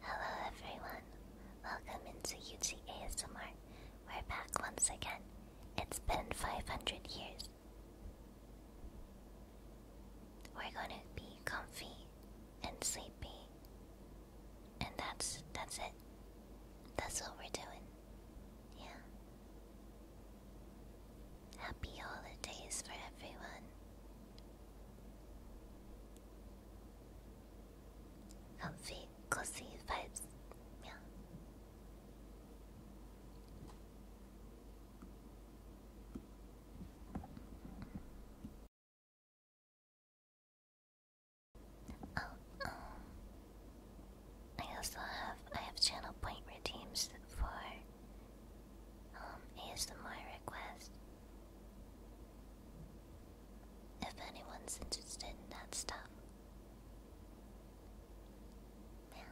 Hello everyone, welcome into UTA's ASMR. We're back once again. It's been 500 years. We're gonna be comfy and sleepy, and that's that's it. That's what we're doing. Yeah. Happy holidays for everyone. I'm Comfy, cozy vibes. Yeah. Oh, um, I also have I have channel point redeems for um ASMR request. If anyone's interested in that stuff. Yeah.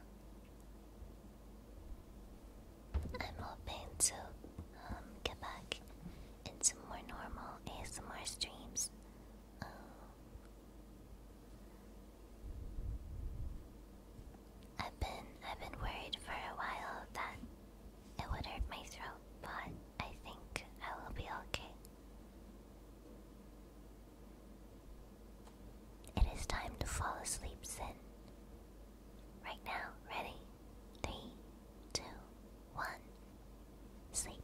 I'm hoping to um, get back into more normal ASMR streams. Um, I've been I've been worried for a while that it would hurt my throat, but I think I will be okay. It is time to fall asleep, Sin. Right now, ready? Three, two, one. Sleep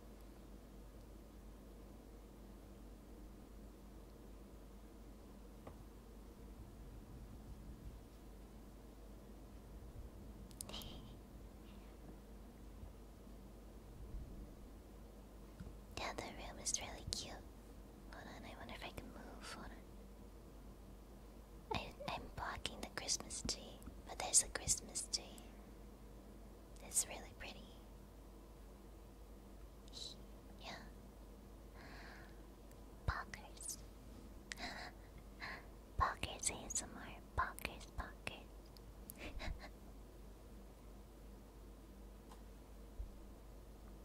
the room is really cute. Hold on, I wonder if I can move. I, am blocking the Christmas tree, but there's a Christmas tree. It's really pretty. Yeah. Pockers. Pockers ASMR pockets, pockets.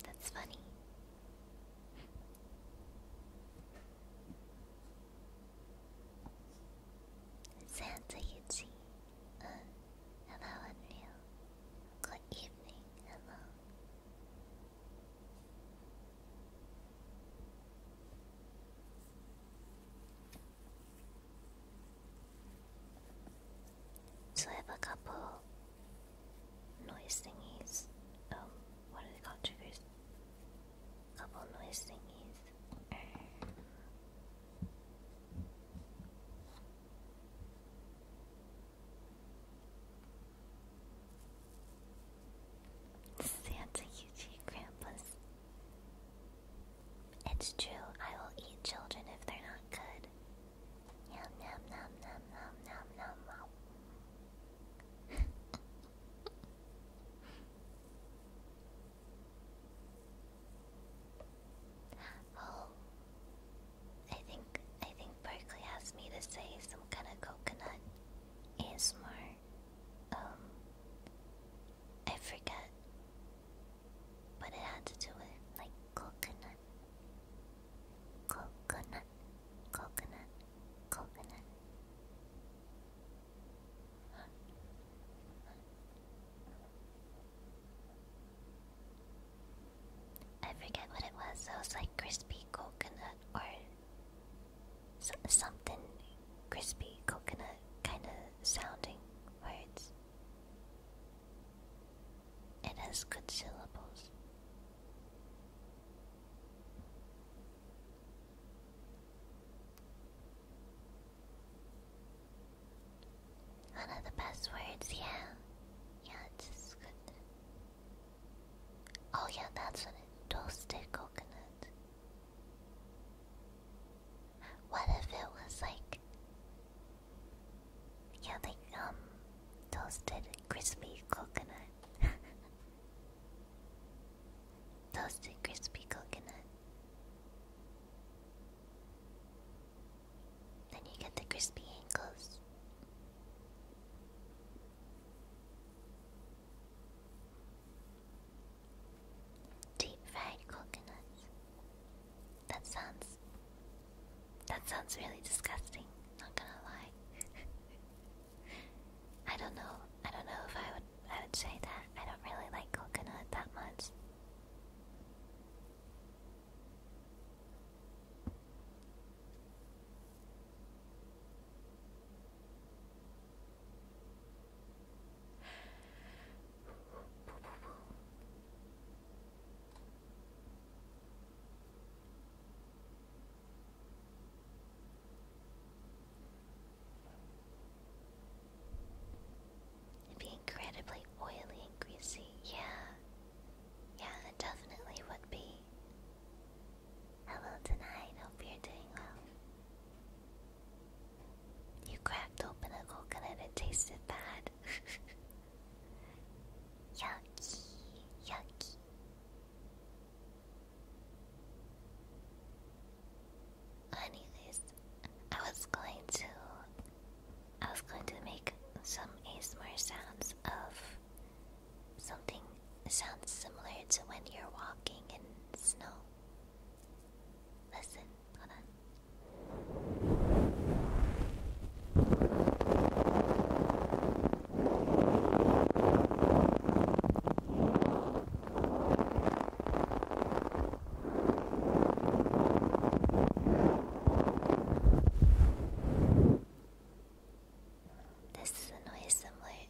That's funny. Santa Yuchi. Uh, hello, Unreal. Good evening. Hello. So I have a couple noise thingies. Um, what are they called? Triggers. Couple noise thingies. Santa Yuji Grandpa's it's true, I will eat children if they're not good. Yum, yum, nom, nom, nom, nom, nom, oh, I think I think Berkeley asked me to say some kind of coconut ASMR. Um, I forget, but it had to do with like coconut, coconut, coconut, coconut. I forget what it was. It was like crispy coconut or something crispy, coconut kind of sounding words. It has good syllables. One of the best words, yeah. Yeah, just good. Oh, yeah, that's what it Toasted coconut. What if it was like, yeah, like um, toasted crispy coconut, toasted crispy coconut. Then you get the crispy ankles. Deep fried coconuts. That sounds. That sounds really disgusting, not gonna lie. I don't know. I don't know if I would I would say that. I don't really like coconut that much. It'd be incredibly oily and greasy, yeah. Yeah, it definitely would be. Hello tonight, hope you're doing well. You cracked open a coconut and tasted bad. yucky, yucky. Anyways, I was going to, I was going to make some ASMR sounds of something sounds similar to when you're walking in snow. Listen, hold on. This noise somewhere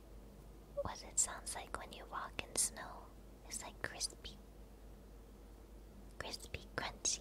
what it sounds like when you walk in snow. It's like crispy. Crispy, crunchy.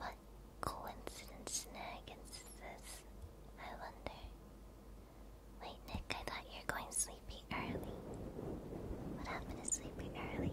What coincidence snag is this? I wonder. Wait, Nick, I thought you were going sleepy early. What happened to sleepy early?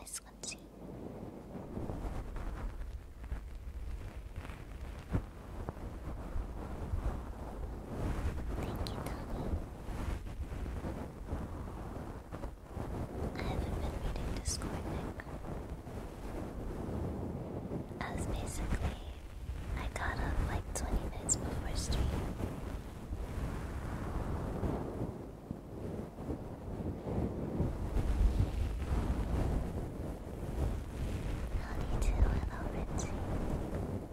This one, see. Thank you, Tommy. I haven't been reading Discord, Nick. I basically, I got up like 20 minutes before stream. Howdy to and i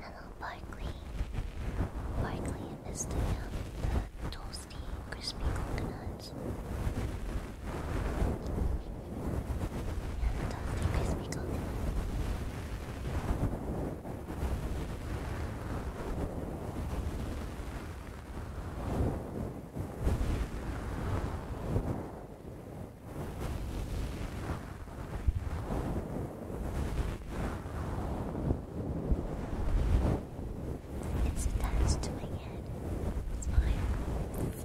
Hello, Barkley. Barkley is the, um, the toasty, crispy coconuts. the toasty, crispy coconut. It's attached to my head. It's fine. It's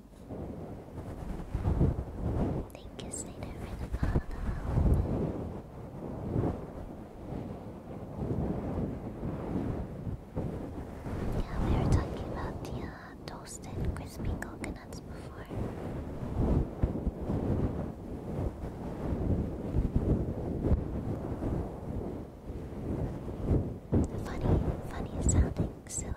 Thank you, Slater, for the follow. Yeah, we were talking about the uh, toasted crispy coconuts before. Funny, funny sounding, so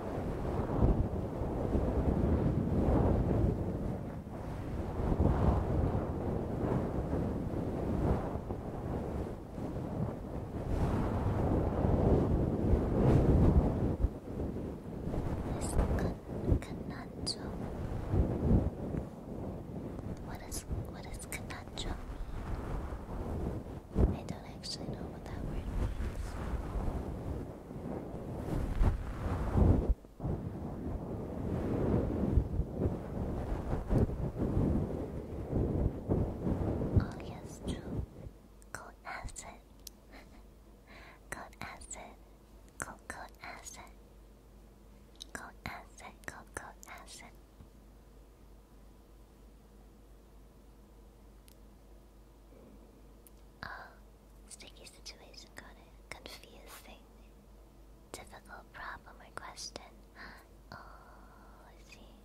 This con What is what is conundrum? I don't actually know what that word means. Oh yes, true. Cold acid. Cold acid. Cold cold acid. Cold acid. Cold cold acid. Oh, Sticky situation, kind of Confusing. Difficult problem or question. Oh, I see.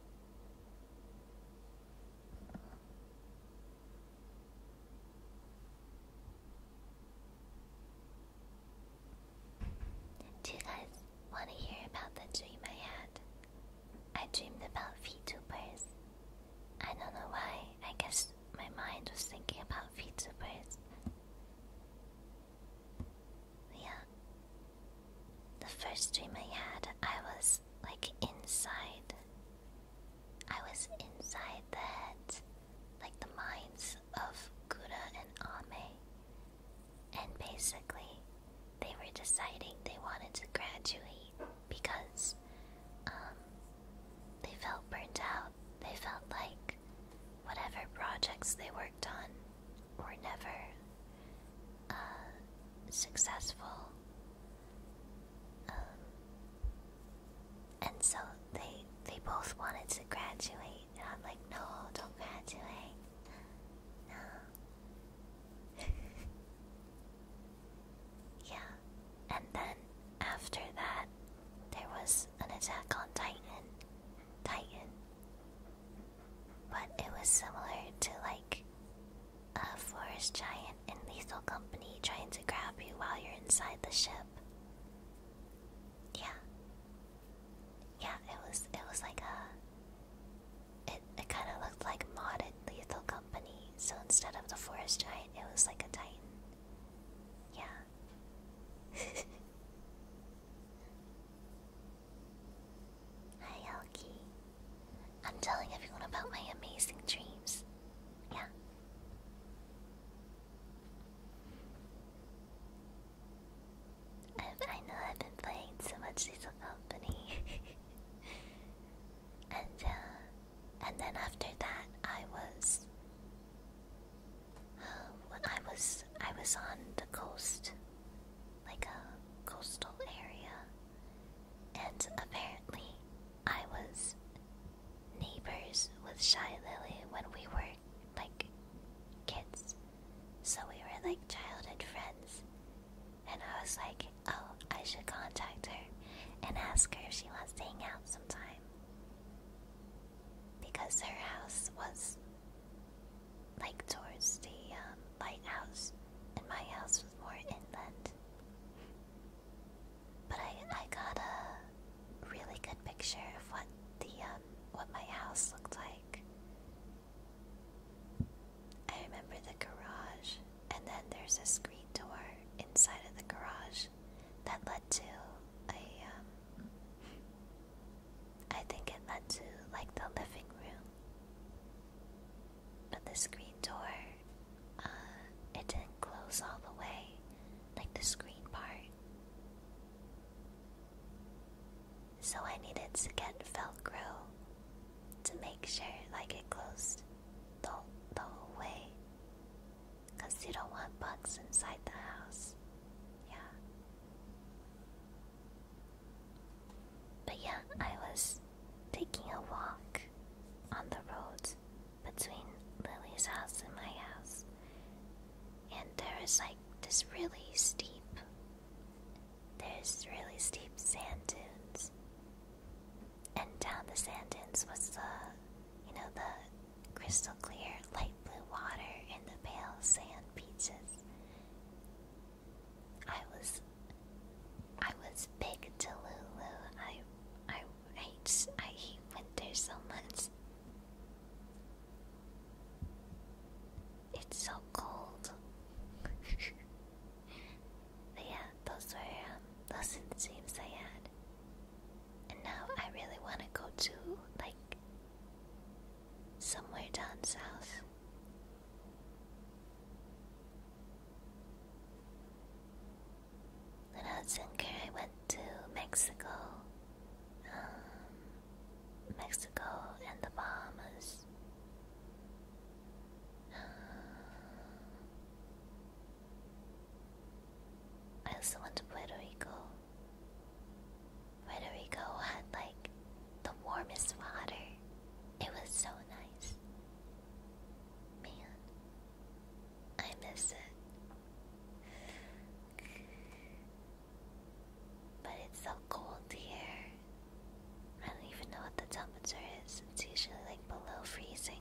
Do you guys want to hear about the dream I had? I dreamed about VTubers I don't know why. I guess my mind was thinking about VTubers. Yeah. The first dream I had, I was like inside. I was inside the head, like the minds of Guda and Ame. And basically, they were deciding they wanted to graduate because um, they felt burnt out. They felt like whatever projects they worked on were never uh, successful. Um, and so they they both wanted to graduate, and I'm like, no, don't graduate, um, Yeah, and then after that, there was an attack on Titan. Titan. But it was similar to like a forest giant and Lethal Company trying to grab you while you're inside the ship. Yeah. Yeah, it was it was like a it it kinda looked like modded Lethal Company, so instead of the forest giant it was like a titan. Yeah. Hi, Elky. I'm telling everyone about my amazing dreams. Yeah. i know I've been playing so much Lethal Company. and uh, and then after that I was I was I was on the coast, like a coastal area, and apparently I was neighbors with Shy Lily when we were like kids, so we were like childhood friends, and I was like, oh, I should contact her and ask her if she wants to hang out sometime. Because her house was like towards the um, lighthouse, and my house was more inland. But I, I got a really good picture of what the um, what my house looked like. I remember the garage and then there's a screen door inside of the garage that led to a um, think it led to like the living room. But the screen door uh it didn't close all the way, like the screen part. So I needed to get Velcro to make sure like it closed the, the whole Because you don't want bugs inside the house. Yeah. But yeah, I was taking a walk on the road between Lily's house and my house. And there is like this really steep, there's really steep sand dunes. And down the sand dunes was the, you know, the crystal clear light blue water and the pale sand beaches. I was, I was big Delulu. I, I hate, I hate winter so much. It's so cold. But yeah, those were um, those are the dreams I And now I really want to go to, like, somewhere down south. When I was I went to Mexico. Um, Mexico and the Bahamas. Um, I also went to Puerto Rico. Puerto Rico had like the warmest water. It was so nice. Man, I miss it. But it's so cold here. I don't even know what the temperature is. It's usually like below freezing.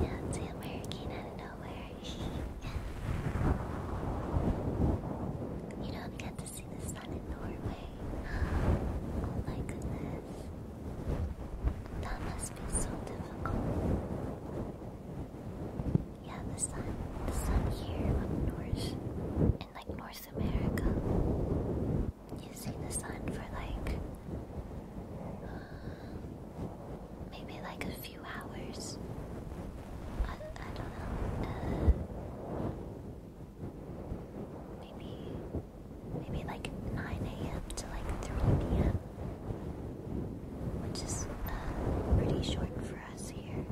Yeah, it's a hurricane out of nowhere. you don't get to see the sun in Norway. Oh my goodness. That must be so difficult. Yeah, the sun, the sun here up north, in like North America, you see the sun for like maybe like a few hours. I, I don't know. Uh, maybe maybe like 9 a.m. to like 3 p.m which is uh, pretty short for us here.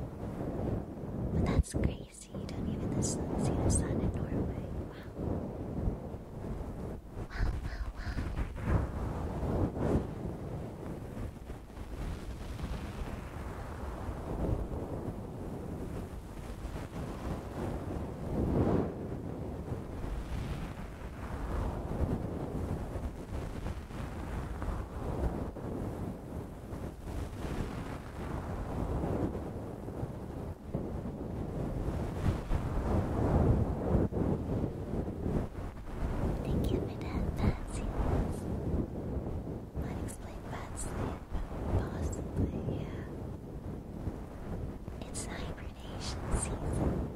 But that's crazy. You don't even the see the sun in Norway. Wow, wow, wow. Thank you for that, Patsy. Unexplained bad sleep, possibly, yeah. It's hibernation season.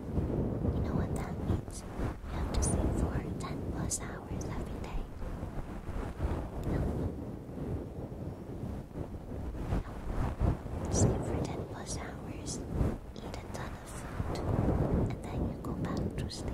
You know what that means? have to sleep for 10 plus hours every day. Sleep for 10 plus hours, eat a ton of food, and then you go back to sleep.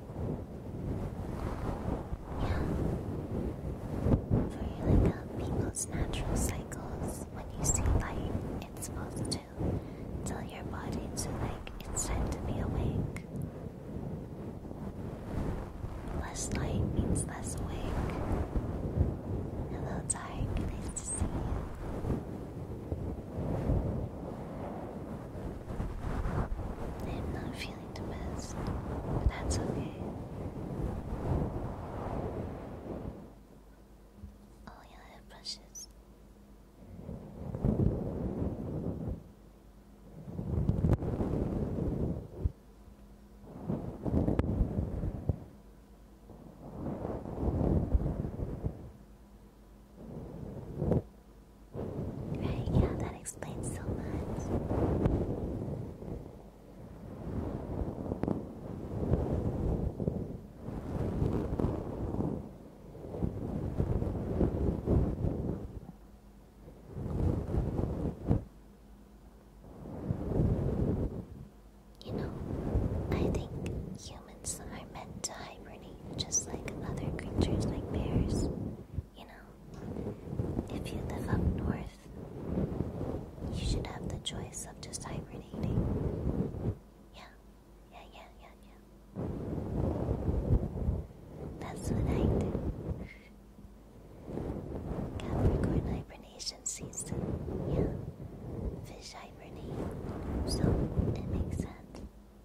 So you look people's natural cycles. When you see light, it's supposed to tell your body to like it's time to be awake. Less light means less awake. Hello, Dark. Nice see I'm not feeling the best, but that's okay. Oh, yeah, hair Right, yeah, that explains so much. You know, I think humans are meant to hibernate just like other creatures like bears. You know, if you live up north, you should have the choice of just hibernating. Yeah, yeah, yeah, yeah, yeah. That's what I do. Capricorn hibernation season. Yeah, fish hibernate. So it makes sense.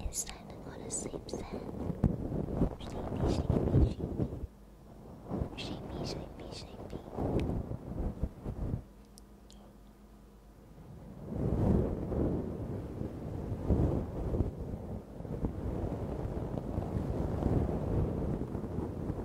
It's time to go to sleep, Sam. Sleepy, sleepy, sleepy. Sleepy, sleepy, sleepy. Good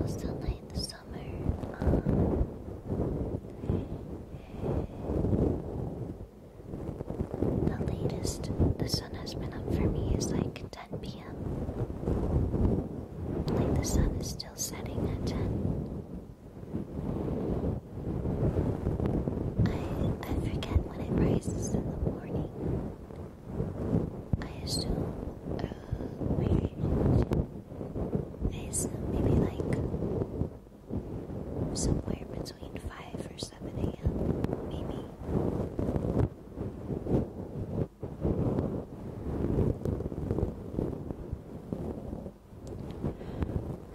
Most of the summer. Um, the latest the sun has been up for me is like 10 p.m. Like the sun is still setting at 10. I I forget when it rises in the morning. I assume uh maybe is maybe like somewhere between five or seven AM maybe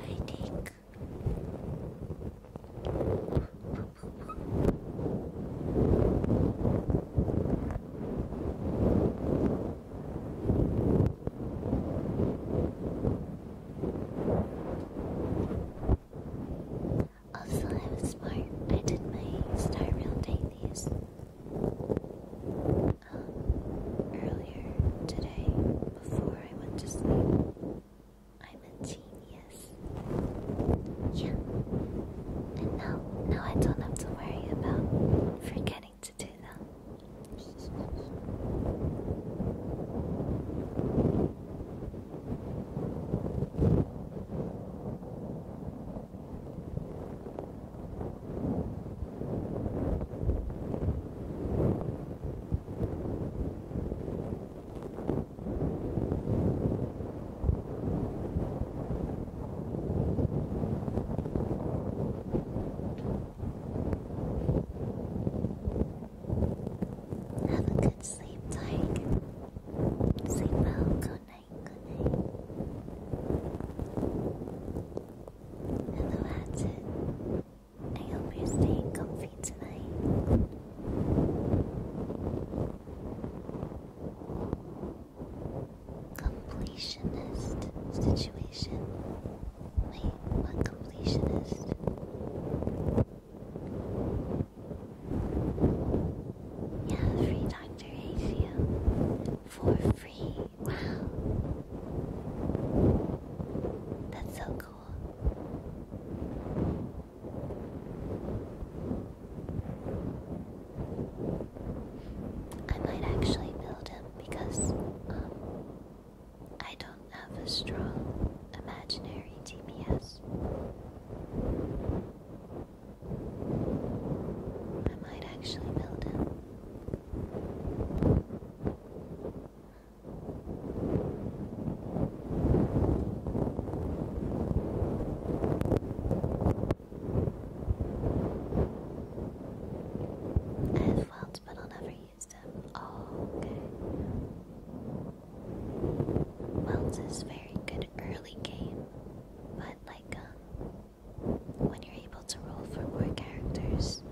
I take also, I was smart. I did my star round dailies um, earlier today before I went to sleep. I'm a genius. Yeah. And now, now I don't have to worry about forgetting to do that. Have a good sleep, Tiger. Sleep well. Good night. Good night. Hello, Hatchet. I hope you're staying comfy tonight. Completionist situation. Wait, what completionist? Yeah, free Dr. For free. Wow. That's so cool. I might actually build him because um, I don't have a strong imaginary TPS. I might actually build him. I have welds, but I'll never use them. Oh, okay. Welds is very good early game, but like um, when you're able to roll for more characters,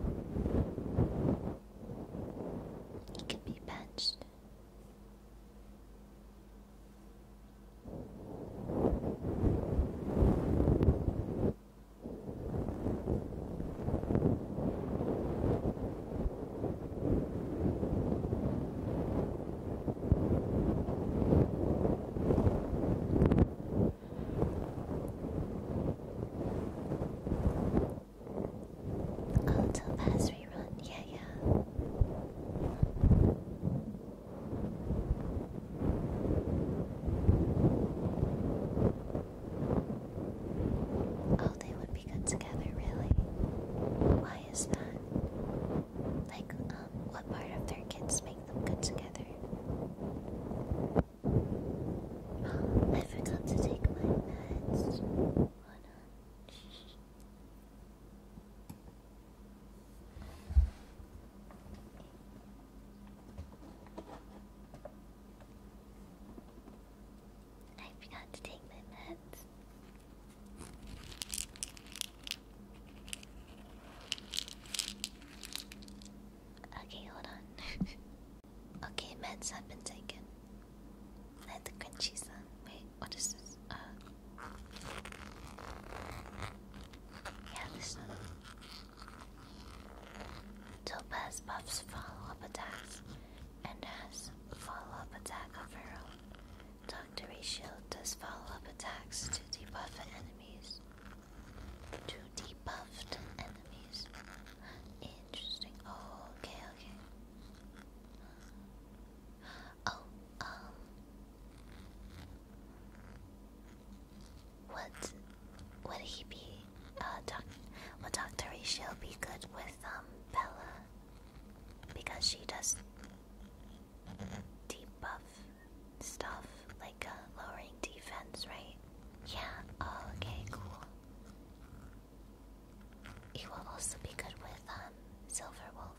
he can be benched. Auto pass yeah, yeah. Oh, they would be good together, really. Why is that? Like, um, what part of their kids make them good together? I forgot to take my meds. I forgot to take my meds. Okay, hold on. okay, meds have been taken. Let the crunchy sun. Wait what is this? Uh, yeah, this one. Topaz buffs follow-up attacks and has follow-up attack of her own. Dr. does follow-up attacks to debuff enemies. To debuffed enemies. Interesting. Oh, okay, okay. Oh, um, what would he be? Uh, doc would Doctor Ratio be good with um Bella? Because she does debuff stuff like uh, lowering defense, right? Yeah. Oh, okay, cool. He will also be good with Silver Wolf.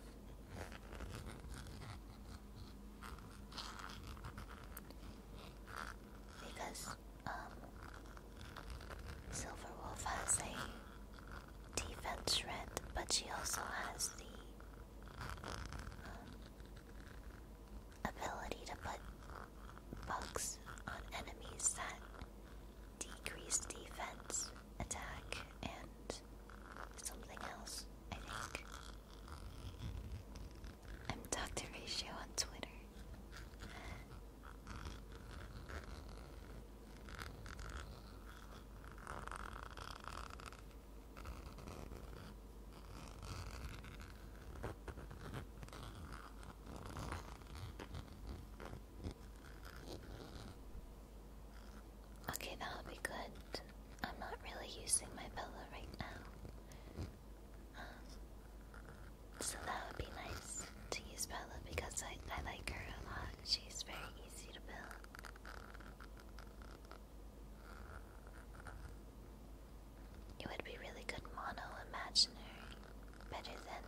Because um, Silver Wolf has a defense shred, but she also has the um, ability to put bugs on enemies that decrease defense, attack, and something else, I think. I'm Dr. Ratio on Twitter. Okay, that would be good. I'm not really using my pillow right now. Um, so that would be nice to use Bella because I, I like her a lot. She's very easy to build. It would be really good mono imaginary, better than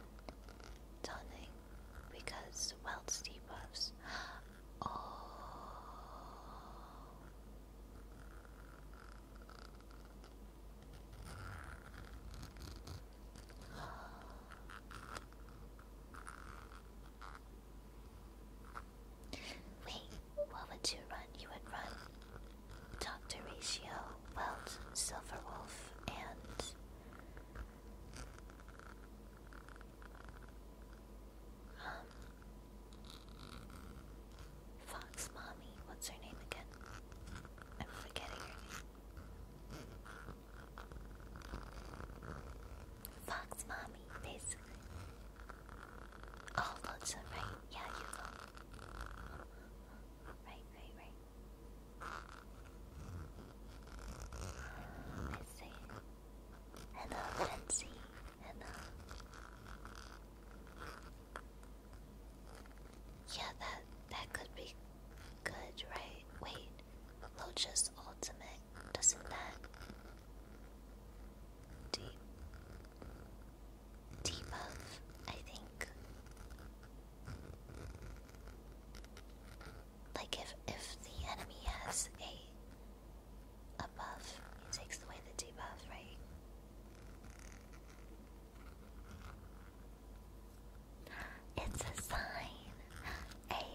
toning, because Welts debuffs. Oh. Wait, what would you run? You would run Dr. Ratio, Silverwolf, and um, Fox Mommy, what's her name again? I'm forgetting her name. Fox Mommy, basically. Oh, looks so right. Yeah, you go. Right, right, right. let see. Hello, Fancy. Hello. Yeah, that that could be good, right? Wait, Locha's ultimate doesn't that deep debuff? I think like if if the enemy has a a buff, takes away the debuff, right? It's a sign. Hey.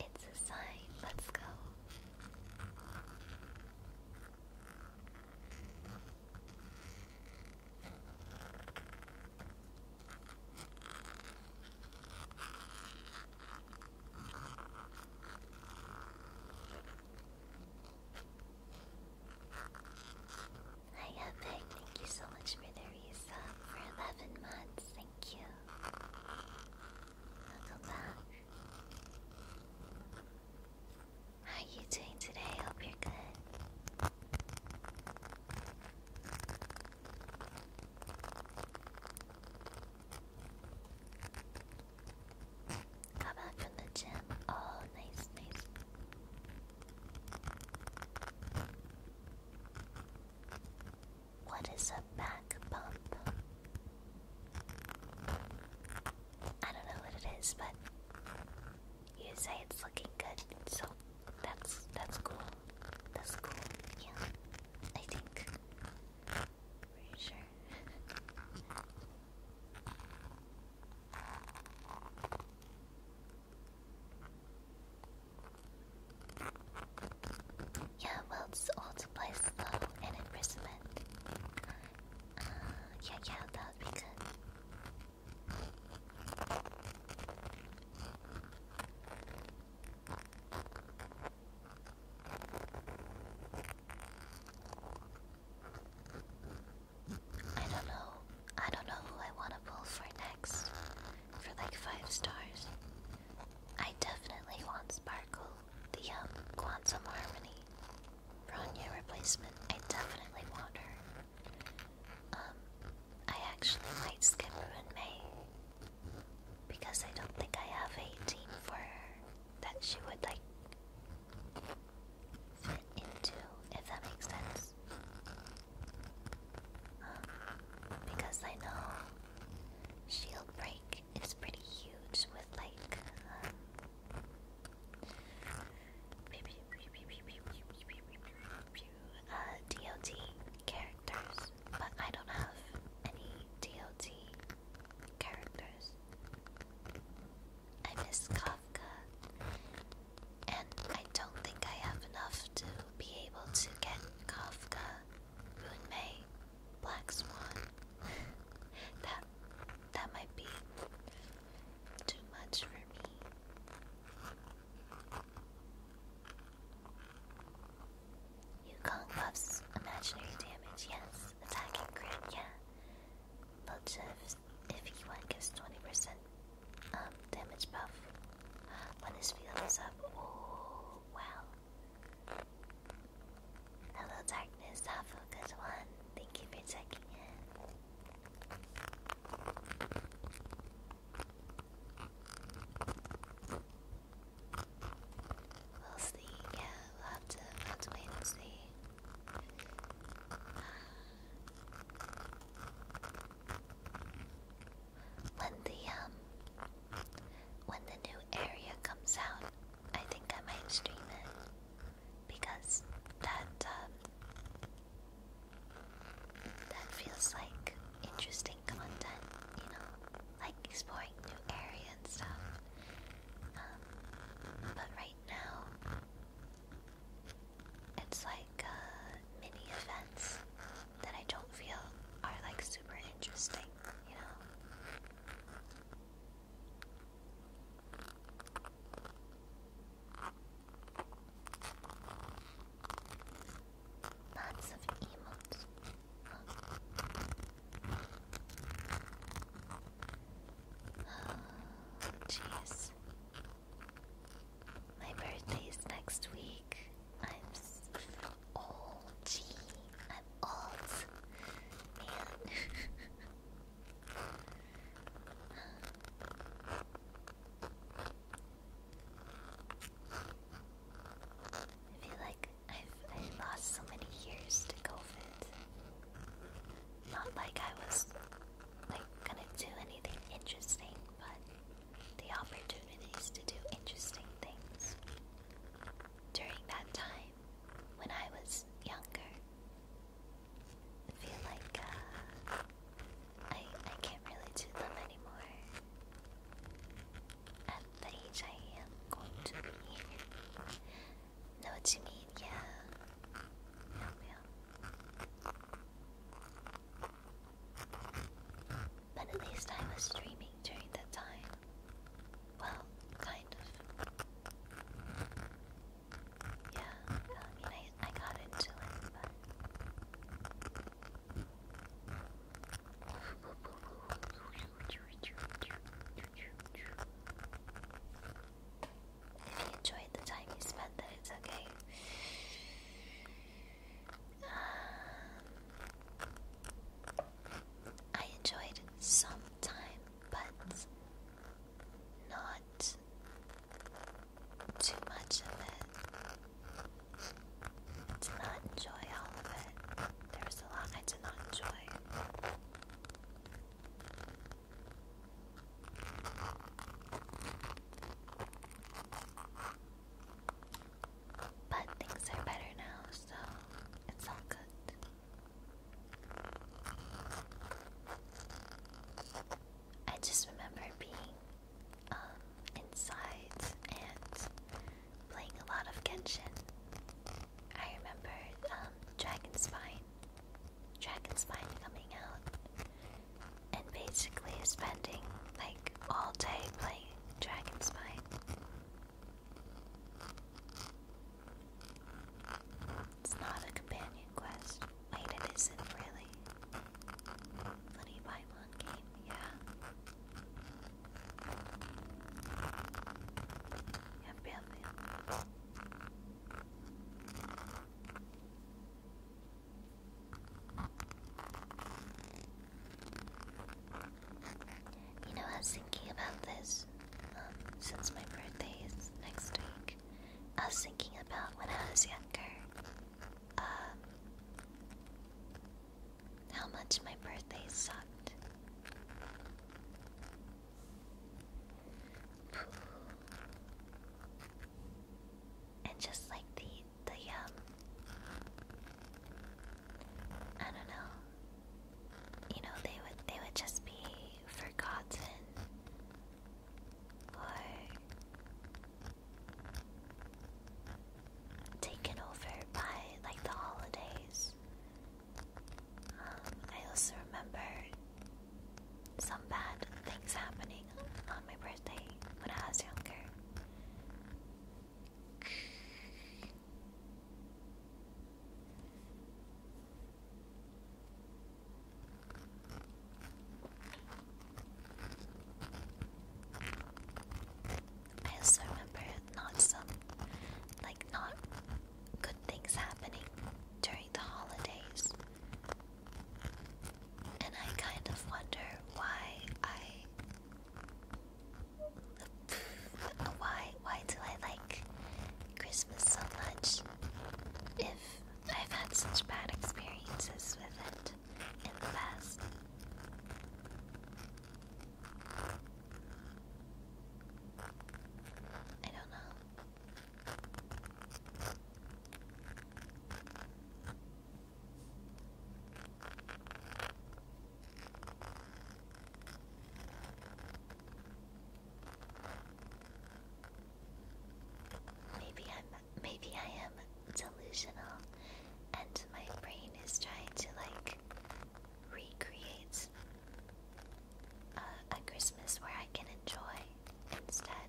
It's a sign. Let's go. Hi Epic, thank you so much for the resub uh, for 11 months, thank you. Welcome How are you doing today? Hope you're good. How about from the gym? Oh, nice, nice. What is a back bump? I don't know what it is, but you say it's looking good, so that's that's cool. That's cool. Yeah, I think. Pretty sure. yeah, well, it's all to play slow and imprisonment. Uh, yeah, yeah, that would be good. I don't know. I don't know who I want to pull for next. For like five stars. I definitely want Sparkle, the um, Quantum Harmony, Bronya replacement. I definitely want her. Um, I actually might skip Ruin May because I don't think I have a team for her that she would like fit into, if that makes sense. Um, because I know shield break is pretty huge with like um, DOT characters, but I don't have any DOT characters. I miss Kafka, and I don't think I have enough to be able to get Kafka, Runmei, Black Swan. that that might be too much for me. Yukong buffs imaginary damage, yes. Attacking crit, yeah. Belchiv, if E1 gives 20% damage buff when his field is up. Oh, wow. Hello, darkness. Have a good one. Thank you for checking in. We'll see, yeah, we'll have to, wait and see. Um, when the, um, when the new area comes out, I think I might stream it. Because that, um, that feels like interesting content, you know, like exploring new areas and stuff. Um, but right now, it's like uh, mini events that I don't feel are like super interesting, you know. Lots of emotes. Oh, jeez. My birthday next week. I'm old. Gee, I'm old. I feel like I've, I've lost so many years to COVID. Not like I was like gonna do anything interesting, but the opportunities to do interesting things during that time when I was younger. feel like uh, I I can't really do them anymore. At that I am going to be. Know what you mean? Yeah. yeah, yeah. But at least I was streaming during that time. Well, kind of. Yeah, I mean, I got into it, but. If you enjoyed the time you spent, then it's okay. Um, I enjoyed some time, but not too much of it did not enjoy all of it. There was a lot I did not enjoy. But things are better now, so it's all good. I just remember being um, inside and playing a lot of Genshin. I remember um, Dragonspine, Dragonspine coming out, and basically spending like all day playing Dragonspine. It's not a companion quest. Wait, it isn't really. Bloody Paimon game, yeah. You know, I was thinking about this um, since my birthday is next week. I was thinking about when I was younger. Um, how much my birthday sucked. And just like the the um I don't know. You know, they would they would just be forgotten or taken over by like the holidays. Um, I also remember some bad things happening on my birthday when I was younger. I also remember not some like not good things happening during the holidays. And I kind of wonder why I why why do I like Christmas so much if I've had such bad experiences with it in the past. I don't know. Maybe I'm maybe I am delusional and my brain is trying to like recreate uh, a, Christmas where I can enjoy instead.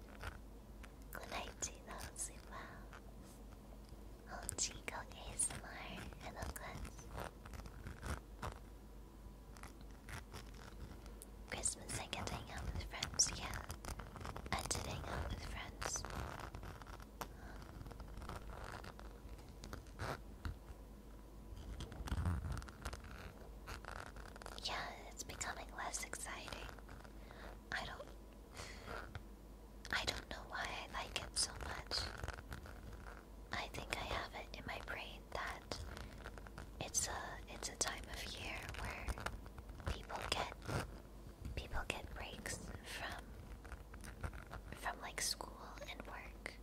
Good night, I'll Sleep well. Oh, Chico ASMR. Hello, guys. Christmas, I get to hang out with friends, yeah. And to hang out with friends. Yeah, it's becoming less exciting. I don't I don't know why I like it so much. I think I have it in my brain that it's a it's a time of year where people get people get breaks from from like school and work,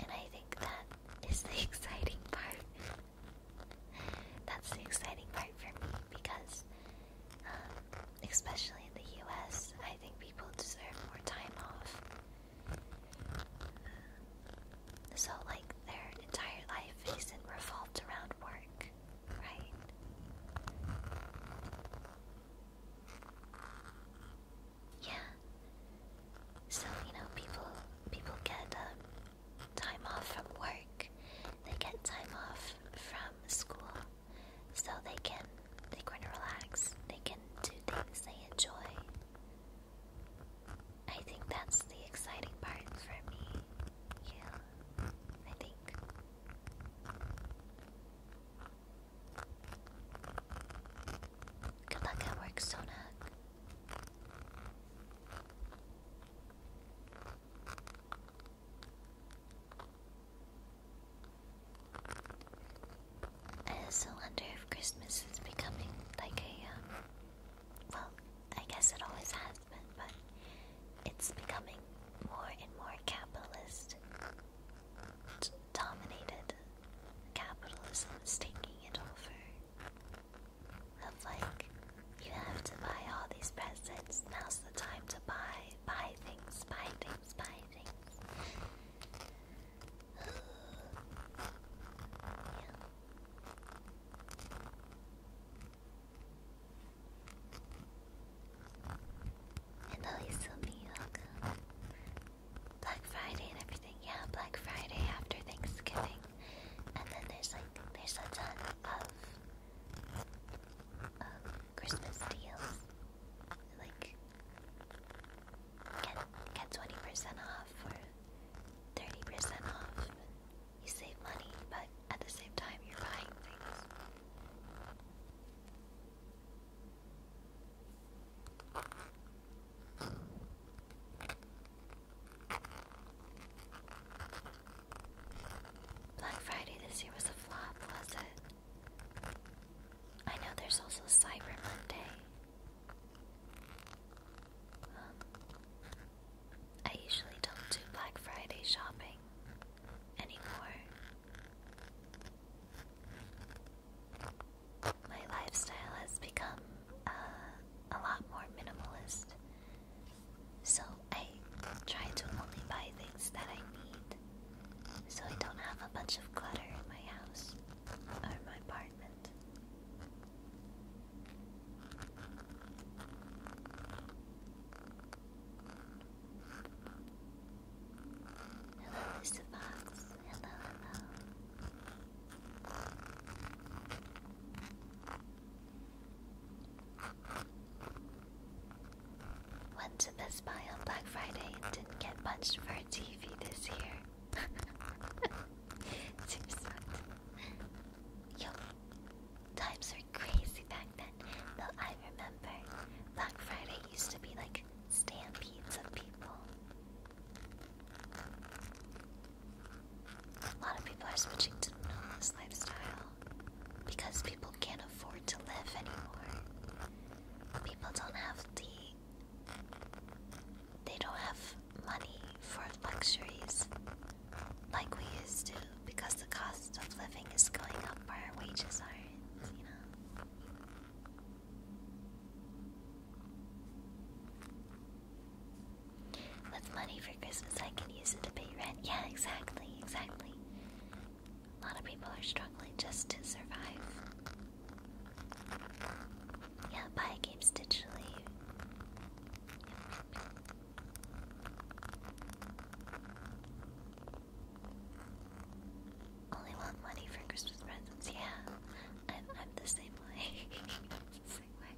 and I think that is the exciting part. That's the exciting part for me because, um, especially in the US, I think people deserve more time off. So, like, their entire life isn't revolved around work, right? Yeah. So you know, people people get um, time off from work. They get time off from school, so they can they can relax. They can do things they enjoy. I think that's the exciting part for me. Yeah, I think. Good luck at work, Sonak. I just wonder if Christmas is becoming like a, um, well, I guess it always has been, but it's becoming more and more capitalist dominated. Capitalism is taking it over. Of like, you have to buy all these presents. Now's the time to buy, buy things, buy things, buy things. And Alisumi, welcome. Black Friday and everything. Yeah, Black Friday after Thanksgiving. And then there's like there's a ton of um, Christmas deals. Like get get twenty percent off or thirty percent off. You save money, but at the same time you're buying things. Black Friday this year was a flop, was it? I know there's also Cyber Monday. Um, I usually don't do Black Friday shopping anymore. My lifestyle has become uh, a lot more minimalist, so I try to only buy things that I need, so I don't have a bunch of clutter in my house or my apartment. Hello, Mr. Fox. Hello, hello. Went to Best Buy on Black Friday and didn't get much for a TV this year. Seriously. Yo, times were crazy back then. Though I remember Black Friday used to be like Stampedes of people. A lot of people are switching to minimalist lifestyle because people can't afford to live anymore. People don't have the. They don't have money for luxuries like we used to because the cost of living is going up, our wages aren't, you know? With money for Christmas, I can use it to pay rent. Yeah, exactly, exactly. A lot of people are struggling just to survive. Yeah, buy games digitally. Yep only want money for Christmas presents. Yeah, I'm, I'm the same way. same way.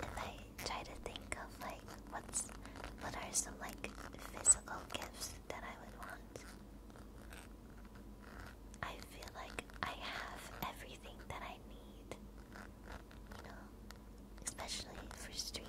If I try to think of like what's what are some like physical gifts that I would want, I feel like I have everything that I need. You know, especially for streaming.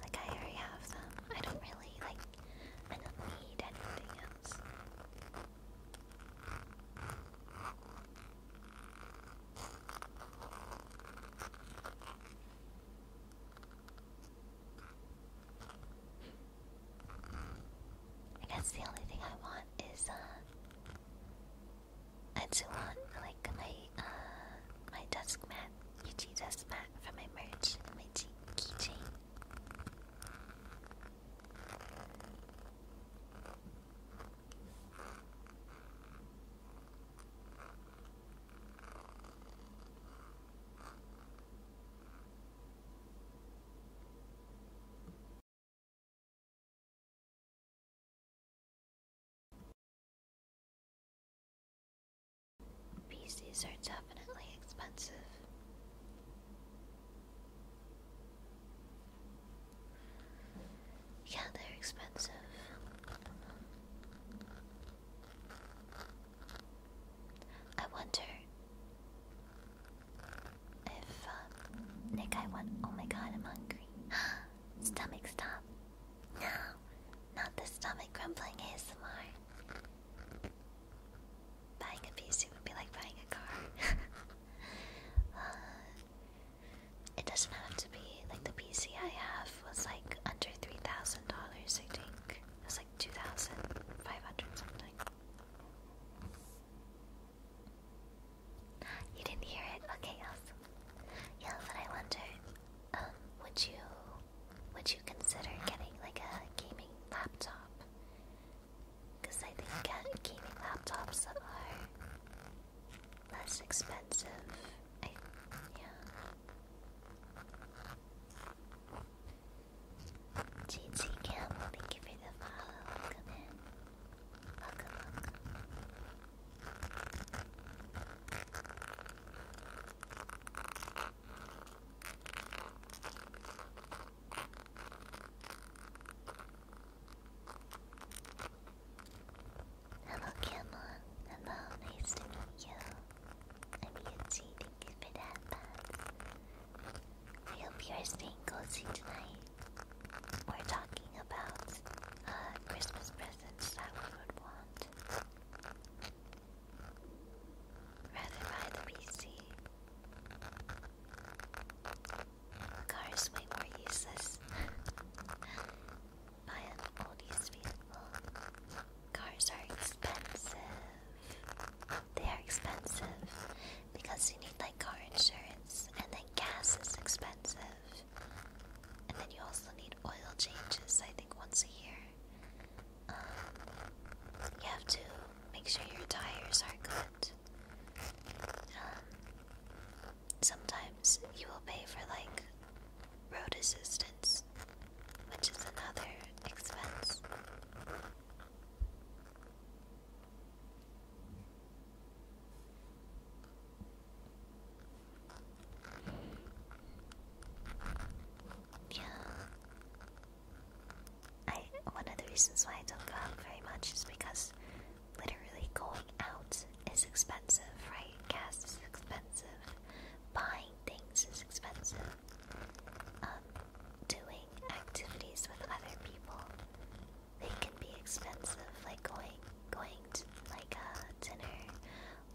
Like I already have them. I don't really like I don't need anything else. I guess the only thing I want is uh I do want like my uh my desk mat, UG desk mat for my merch and my keychain. PCs are definitely expensive. Yeah, they're expensive. I wonder if uh, Nick, I want. Oh my god, I'm hungry. Stomach stop. No, not the stomach grumbling ASMR. Buying a PC would be like buying a car. Uh, it doesn't have to be like the PC I have was like under three thousand dollars. I think it was like two thousand five hundred something. You didn't hear it? Okay, awesome. Yeah, but I wonder, um, would you would you consider getting like a gaming laptop? Because I think uh, gaming laptops are less expensive. I yeah. GT Campbell, thank you the follow. Hello, Cameron. Hello, nice to meet you. I'm Yuji, thank you for that, I hope you're staying cozy tonight. We're talking about uh, Christmas presents presents that we would want. Rather buy the PC. The car is way more useless. buy an oldies vehicle. Cars are expensive. They are expensive because you need like car insurance and then gas is expensive. And then you also need oil changes, I think, once a year. Um, you have to make sure your tires are good. Um, sometimes you will pay for like road assistance, which is another expense. Yeah. I one of the reasons why I don't go out very much is because literally going out is expensive, right? Gas is expensive, buying things is expensive. Um, doing activities with other people, they can be expensive. Like going, going to like a uh, dinner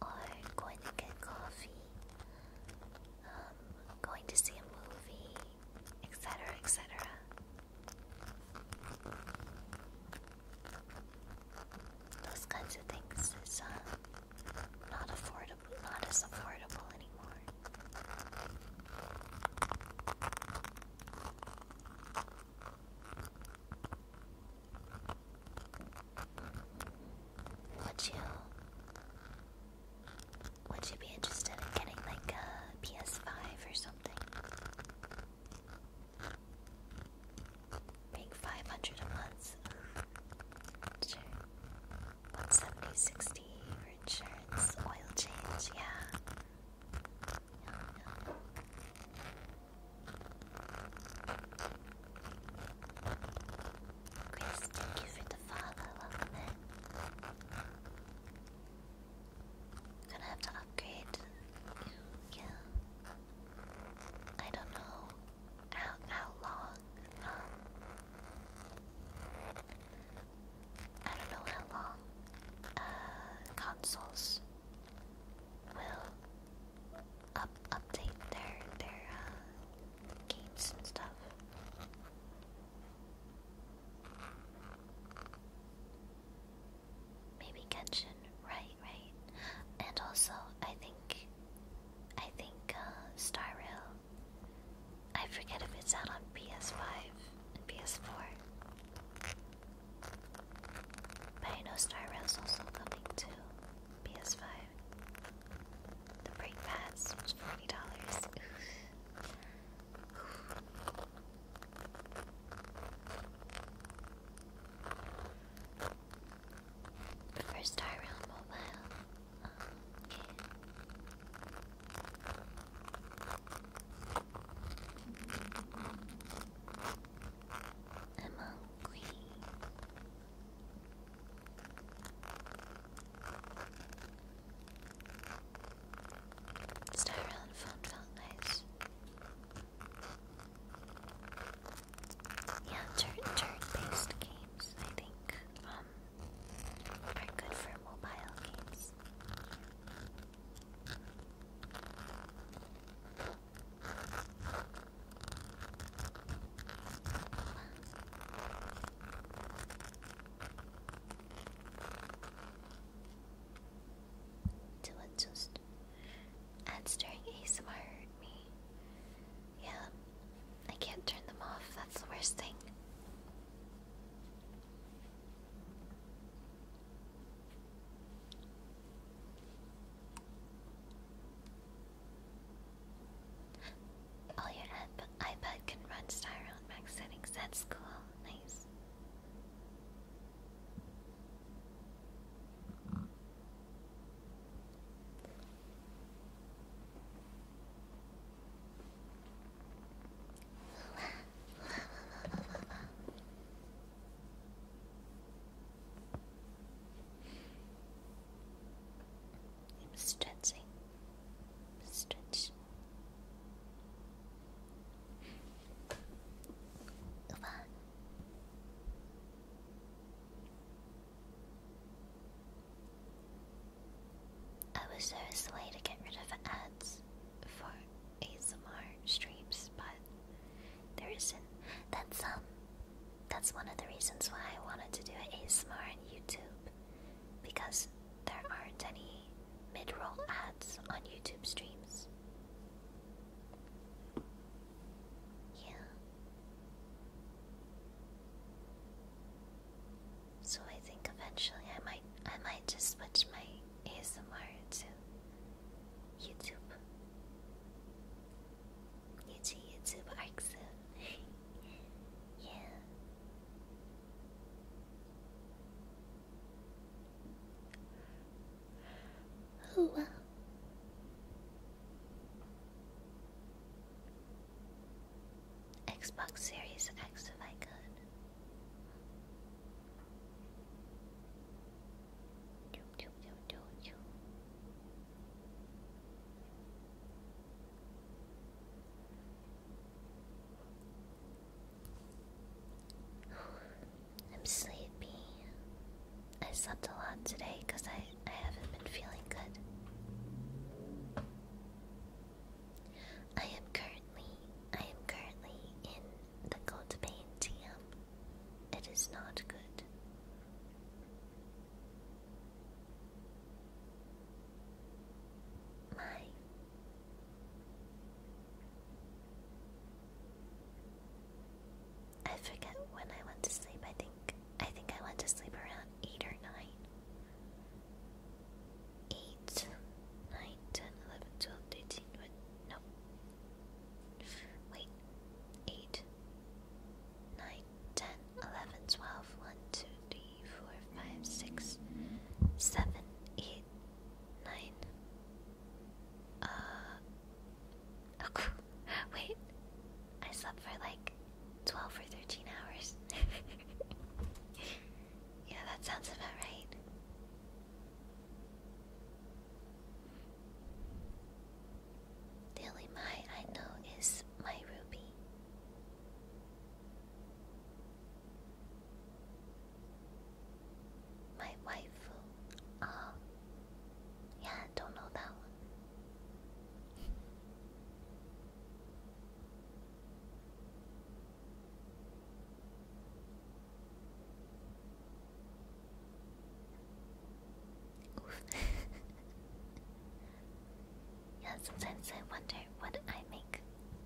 or going to get coffee, um, going to see a movie, etc. etc. Those kinds of things is uh, not affordable, not as affordable anymore. Would you would you be interested in getting like a PS5 or something? Paying 500 a month. Sure. for insurance, oil change, yeah. Chris, thank you for the follow. Welcome in. Gonna have to upgrade. Yeah. I don't know how how long. Um, I don't know how long. Uh, consoles will up update their their uh, games and stuff. Maybe Genshin, right, right. And also, I think, I think uh, Star Rail. I forget if it's out on PS5 and PS4. But I know Star Rail's also coming too. PS5. The brake pads forty dollars. First star round mobile. I'm hungry. Star around felt nice. Yeah, turn turn-based games, I think, um, are good for mobile games. Do it just ads during ASMR hurt me. Yeah, I can't turn them off. That's the worst thing. Oh, your iPad can run Styro max settings. That's cool. Nice. I'm stretching. Stretch. Come on. I was a way to get rid of ads for ASMR streams, but there isn't. That's um. That's one of the reasons why I wanted to do ASMR on YouTube, because there aren't any mid-roll ads on YouTube streams. Yeah. So I think eventually I might I might just switch my ASMR to YouTube. It's a YouTube ARCSA. yeah. Oh wow. Xbox Series X if I could. I'm sleepy. I slept a lot today because I, I haven't been feeling good. I am currently I am currently in the cold pain TM. It is not good my I forget when I went to sleep. I think I think I went to sleep around eight or nine. 8, 9, 10, no. Wait, 8, 9, 10, 11, 12, 1, 2, 3, 4, 5, 6, 7, 8, 9. Uh. Oh, wait. I slept for like 12 or 13 hours. yeah, that sounds about right. Daily Mai, I know, is my ruby. My waifu. Oh, yeah, don't know that one. Oof. yeah, sometimes I wonder what I make.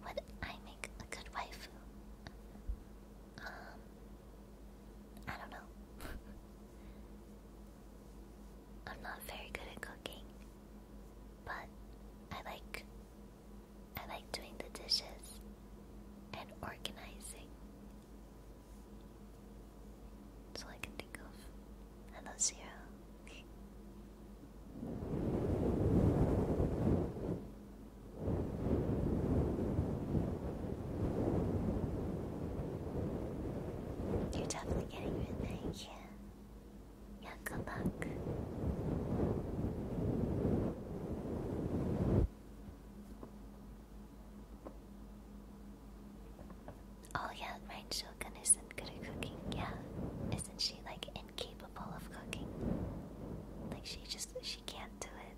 Would I make a good waifu? Um, I don't know. I'm not very good at cooking, but I like I like doing the dishes and organizing that's I can think of. Hello, Zero. You're definitely getting rid of it, yeah. Yeah, good Oh yeah, right, Shogun isn't good at cooking. Yeah. Isn't she like incapable of cooking? Like she just she can't do it.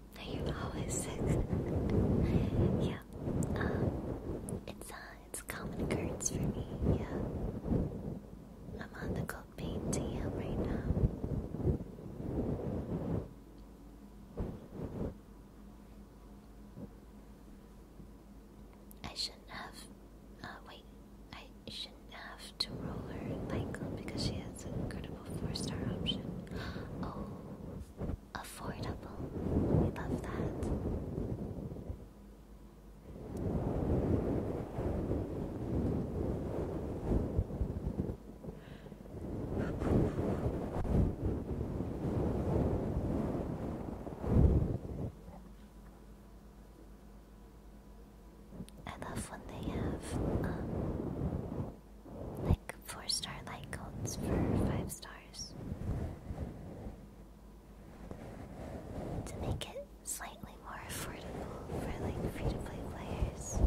You're always yeah. Um, it's uh, it's common occurrence for me. Yeah. I'm on the cold pain right now. I shouldn't have. Uh, wait, I shouldn't have to roll her Michael because she has an incredible four-star option. Oh, affordable. I love that. I love when they have um, like four star light codes for five stars. To make it slightly more affordable for like free to play players.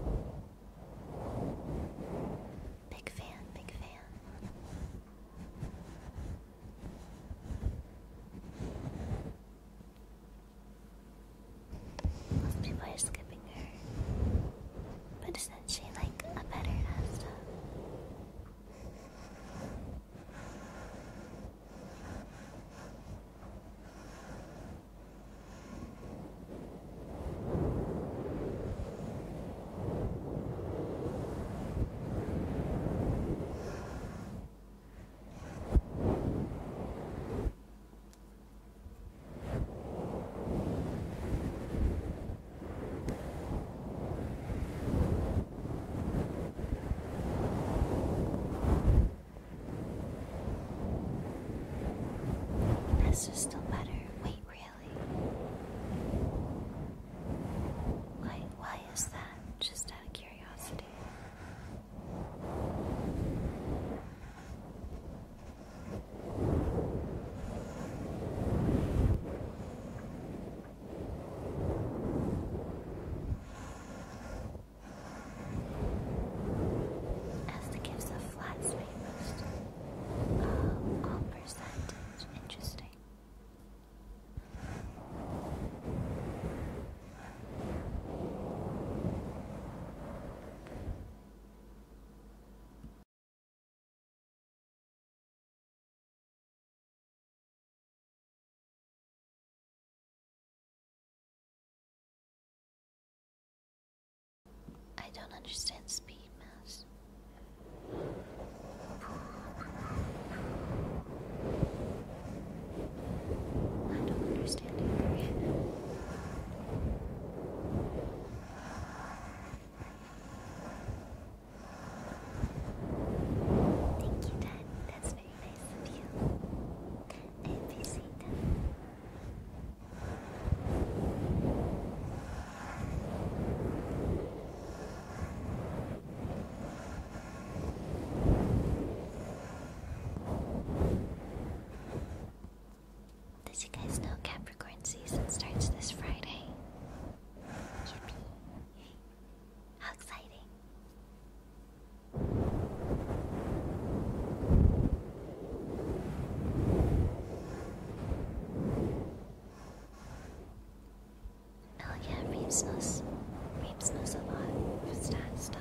Big fan, big fan. Most people are skipping her. But she like a better Asta? That's just still better. Wait, really? Why, why is that? Just out of curiosity. As the gifts of flats may most. Uh, all percentage. Interesting. I don't understand speed mass. I don't understand either. Thank you, Dad. That's very nice of you. I appreciate that. Did you guys know Capricorn season starts this Friday? How exciting! Oh yeah, Reeves knows. Reeves knows a lot of stat stuff.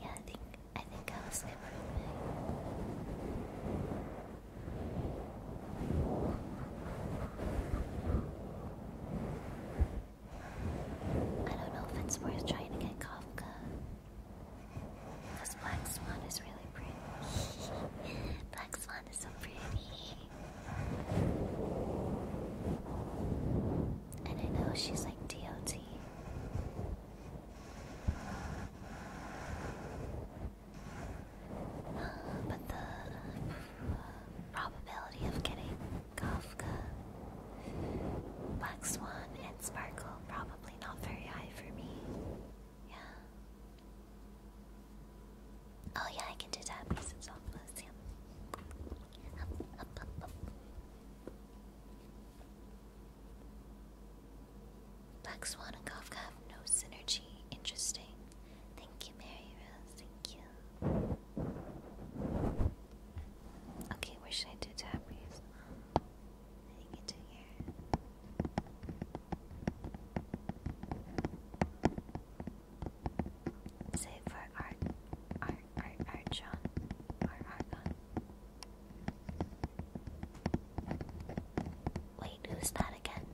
Yeah, I think I think I was everything. I don't know if it's worth trying to get Kafka. This Black Swan is really pretty. Black Swan is so pretty. And I know she's like DOT. but the uh, probability of getting Kafka, Black Swan, and Sparkle. Probably not very high for me. Yeah. Oh yeah, I can do that because it's all plus. Yeah. Up, Black Swan and Kafka have no synergy. Interesting. Thank you, Mary Rose. Thank you. Okay, where should I do tappies? I think it's here. Save for art, art, art, art, John, or Argon. Wait, who's that again?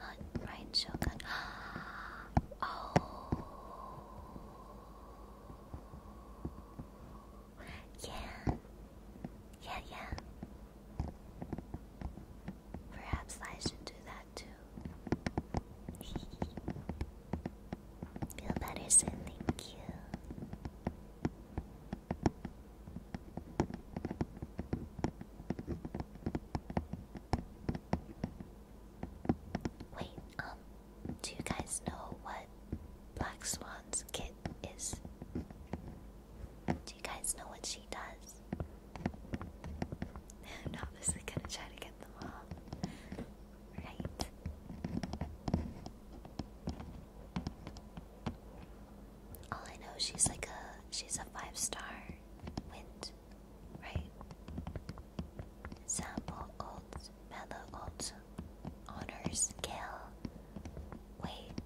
right Shogun. Oh. Yeah. Yeah, yeah. Perhaps I should do that too. Feel better soon, thank you. Wait, um, do you guys know what Black Swan's kit is? Do you guys know what she does? I'm obviously gonna try to get them all. Right. All I know, she's like a she's a five star right? Sample old mellow old honor scale. Wait,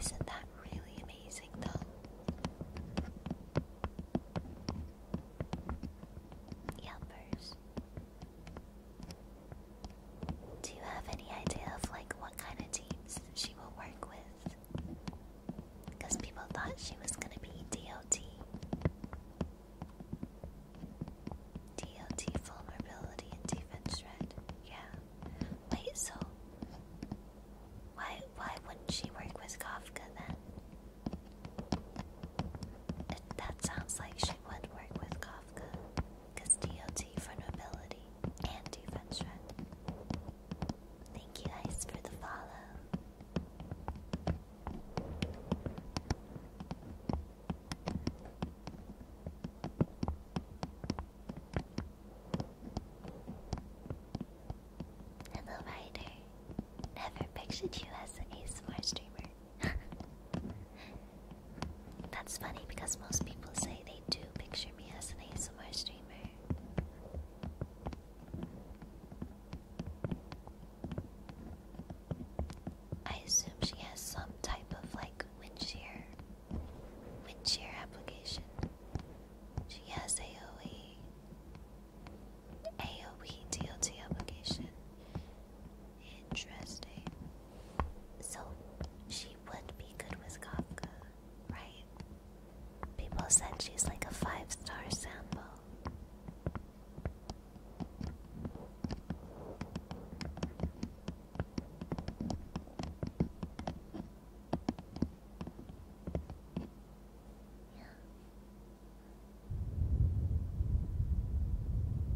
isn't that really amazing though? Yelpers. Do you have any idea of like what kind of teams she will work with? Because people thought she was gonna be DOT. DOT vulnerability and defense shred. Yeah. Wait, so why why wouldn't she work with Kafka then? that sounds like she would work with Kafka. Cause for nobility and defense Thank you guys for the follow. Hello, Ryder. Never pictured you as an ASMR streamer. That's funny because most people say they do picture me as an ASMR streamer. I assume she has some type of like wind shear, wind shear application. She has AOE, AOE DLT application. Interesting. So she would be good with Kafka, right? People said she's like a five star sample. Yeah.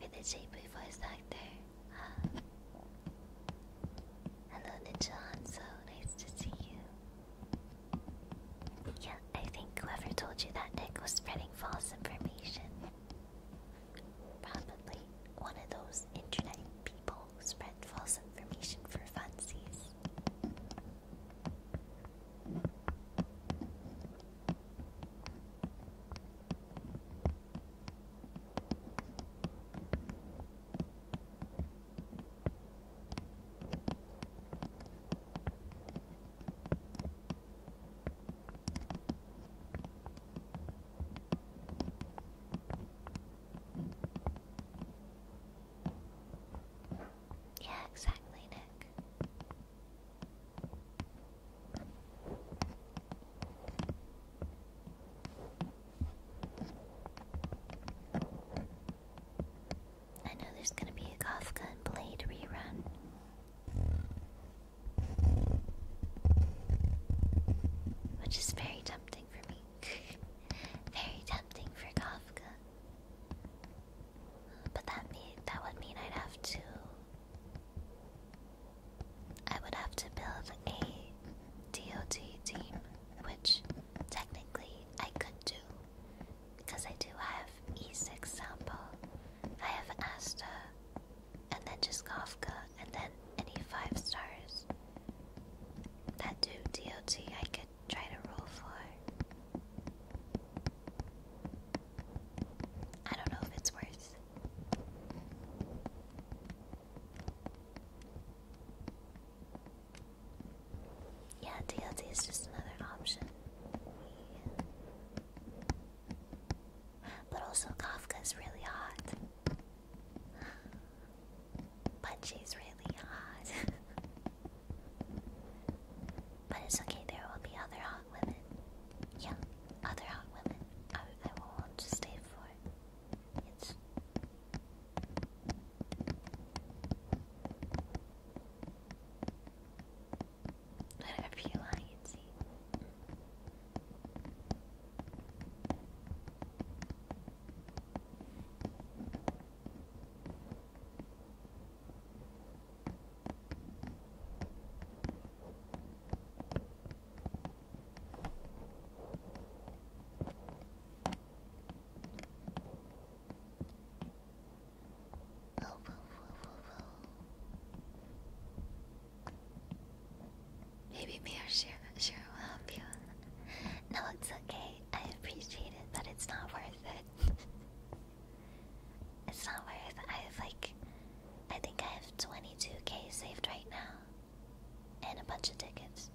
With the JP voice actor. Hello, Ninja Hanzo. Nice to see you. Yeah, I think whoever told you that, Nick, was spreading false information. Probably one of those internet people who spread false information for funsies. Yeah, exactly, Nick. I know there's gonna be a Kafka and Blade rerun. Which is very tempting for me. very tempting for Kafka. But that mean that would mean I'd have to I would have to build a DOT team, which technically I could do. Because I do have E6 sample, I have Asta, and then Jiskovka, and then any 5 stars. That do DOT I could try to roll for. I don't know if it's worth. Yeah, DLT is just another option. But also Kafka's really hot. But she's really hot. but it's okay, there will be other hot women. Yeah, other hot women. I, won't just stay for it. It's... Whatever you want, you Maybe me or Shiro, Shiro will help you. No, it's okay. I appreciate it, but it's not worth it. it's not worth it. I have like, I think I have 22k saved right now, and a bunch of tickets.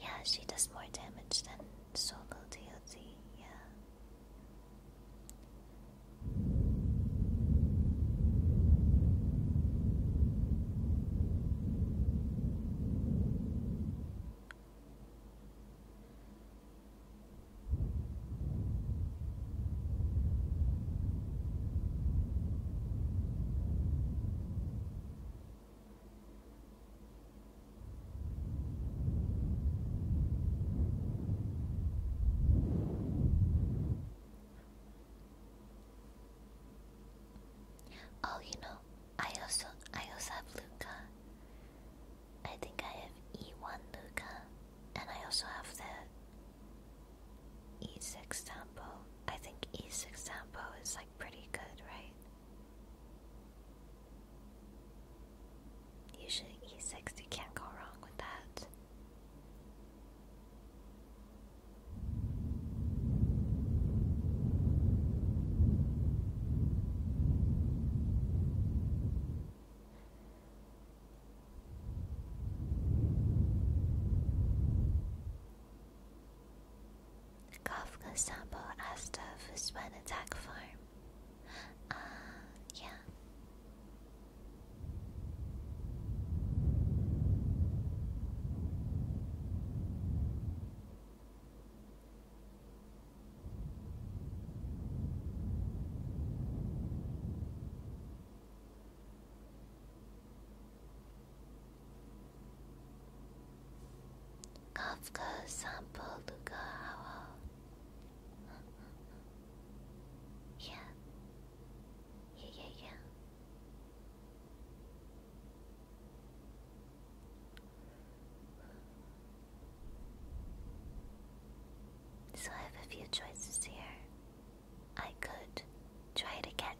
Yeah, she does more damage than solo DOT, yeah. Oh, you know, I also I also have Luca. I think I have E1 Luca, and I also have the E6 tempo. I think E6 tempo is like pretty good, right? Usually E6, you can't go wrong with that. Kafka sample as the Fusman attack farm. Uh, yeah. Kafka sample, Luka Hawa. Yeah. Yeah, yeah, So I have a few choices here. I could try it again.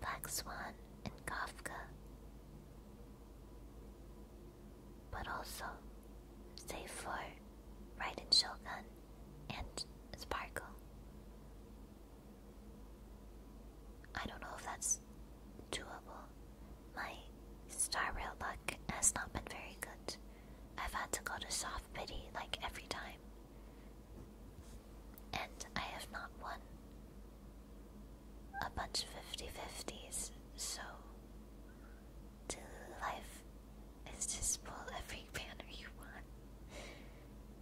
Black Swan, and Kafka, but also, save for Raiden Shogun and Sparkle. I don't know if that's doable. My Star Rail luck has not been very good. I've had to go to soft pity like every time. And I have not won a bunch of 50 50s, so Life is just pull every banner you want.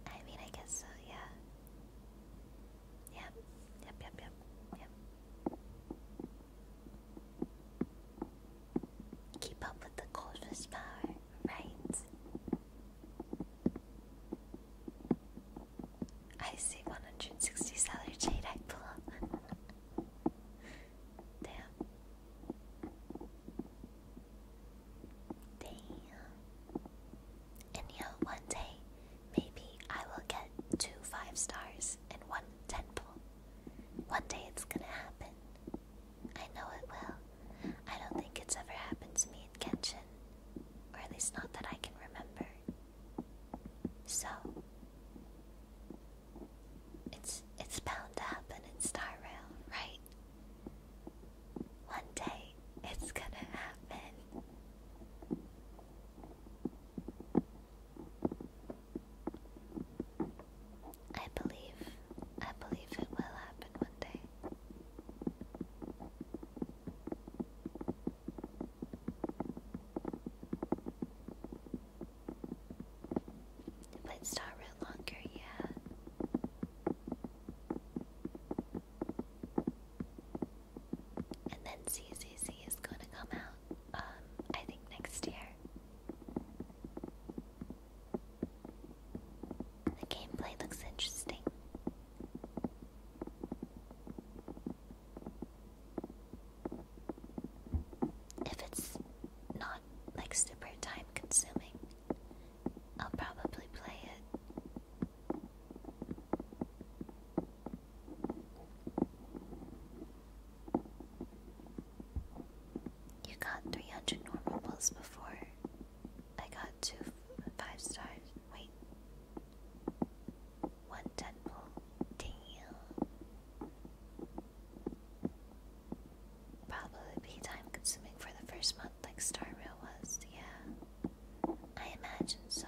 I mean, I guess so, yeah. Yep, yep, yep, yep, yep. Keep up with the cold power, right? I see 160 salary jade I pull. Damn. Damn. And you know, one day, maybe I will get two five stars and one ten pull. One day it's gonna happen. I know it will. I don't think it's ever happened to me in Genshin, or at least not that I can remember. So it's it's bound to happen in Star Rail, right? One day it's gonna happen. I believe I believe it will happen one day. Let's start real longer yeah. And then CCC is going to come out, um, I think next year. The gameplay looks interesting. If it's not like super time consuming, I'll probably play it. You got 300 normal balls before I got two 5 stars. Wait. What temple? Probably be time consuming for the first month, like Star Rail was. Yeah. I imagine so.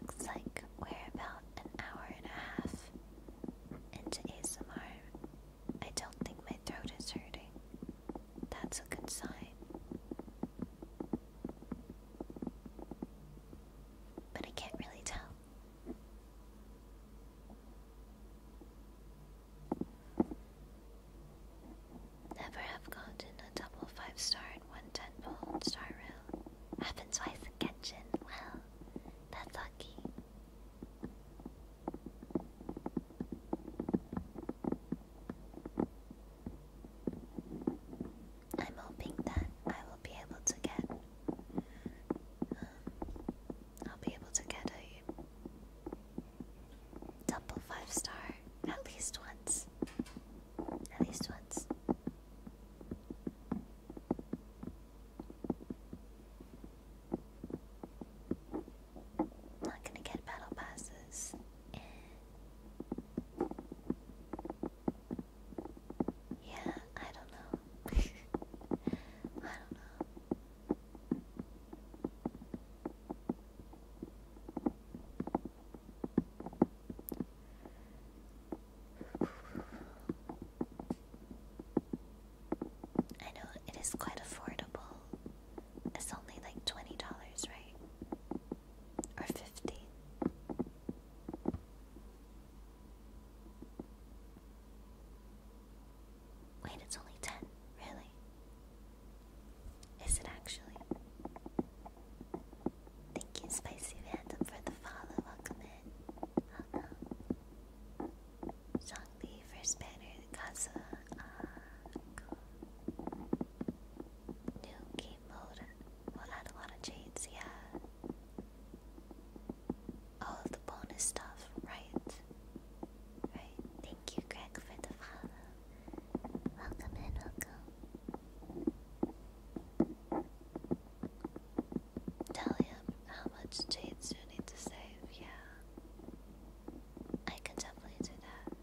Looks like we're about an hour and a half into ASMR. I don't think my throat is hurting. That's a good sign. But I can't really tell. Never have gotten a double five star in one ten star room. Happened twice in Genshin. Well, that's lucky. I'm hoping that I will be able to get. Um, I'll be able to get a Double five star at least once. At least once. Not gonna get battle passes. Eh. Yeah, I don't know. I don't know. I know it is quite affordable. It's only like twenty dollars, right? Or fifty. Wait, it's only ten, really? Is it actually? Thank you, Spicy Phantom, for the follow. Welcome in. Zhongli uh-huh. first banner, Kaza. Uh, New game mode. We'll add a lot of chains, yeah. All of the bonus stuff, right? Right. Thank you, Greg, for the follow. Welcome in, welcome. Tell him how much jades you need to save, yeah. I can definitely do that.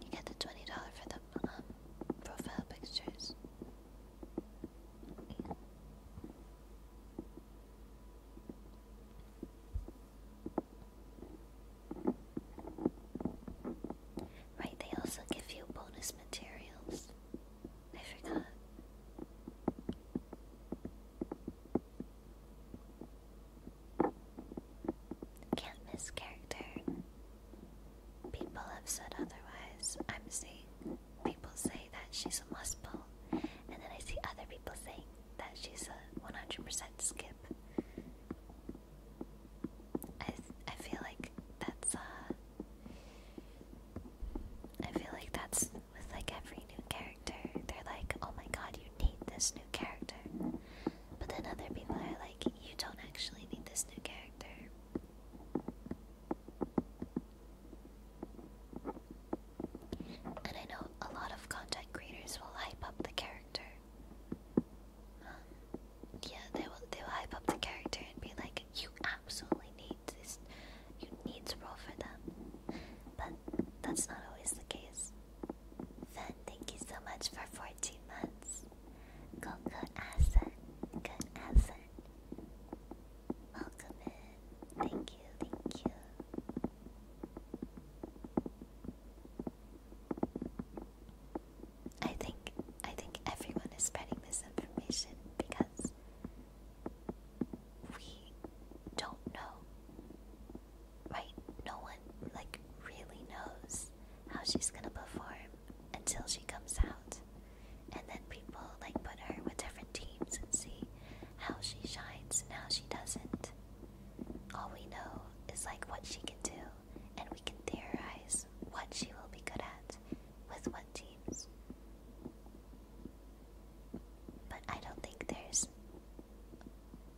You get the twenty dollar for the profile pictures. Right, they also give you bonus materials. I forgot. Can't miss character. People have said otherwise. I'm seeing people say that she's a must pull, and then I see other people saying that she's a 100% skip. I I feel like that's uh I feel like that's with like every new character. They're like, "Oh my god, you need this new character." But then other people are like, you don't actually need this new character. And I know a lot of content creators will hype up the character. Um, yeah, they will. They will hype up the character and be like, "You absolutely need this. You need to roll for them." But that's not always the case. Fen, thank you so much for 14 months good asset. Good asset. Welcome Thank you, thank you. I think I think everyone is spreading misinformation because we don't know. Right? No one like really knows how she's gonna perform until she comes out. And then people like put her with different teams and see how she shines and how she doesn't. All we know is like what she can do, and we can theorize what she will be good at with what teams. But I don't think there's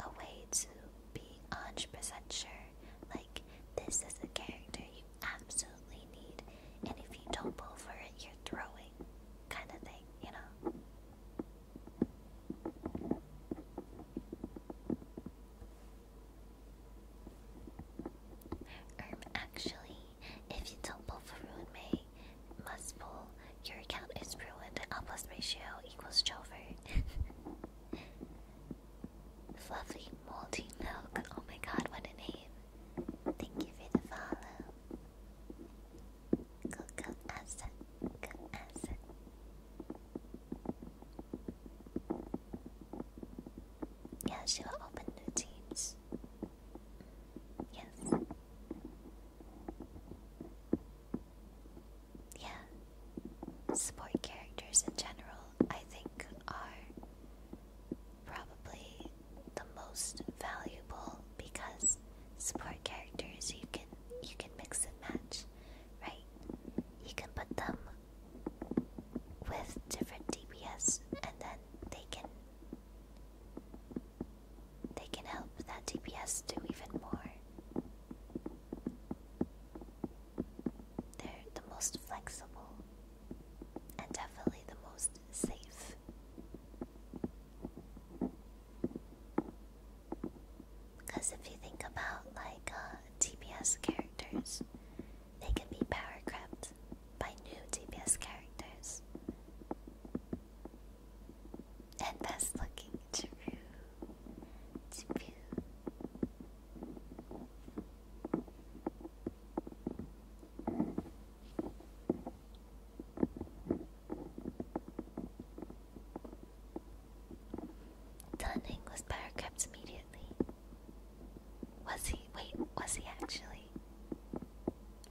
a way to be 100% sure this is a character you absolutely need, and if you don't pull for it, you're throwing, kind of thing, you know. Um, actually, if you don't pull for Ruin May, must pull, your account is ruined, L plus ratio equals Jover. Fluffy Moldy Milk. Oh my god, what a name. Thank you for the follow. Go, go, Asa. Go, Yeah, she will open new teams. Yes. Yeah. Support characters in general I think are probably the most valuable because support characters you can you can mix and match, right? You can put them with different DPS and then they can they can help that DPS do even more. They're the most flexible and definitely the most safe. Because if you think about like uh, TBS characters, they can be power crept by new TBS characters. And best looking, true, true, Dunning was power immediately. Was he? Wait, was he actually?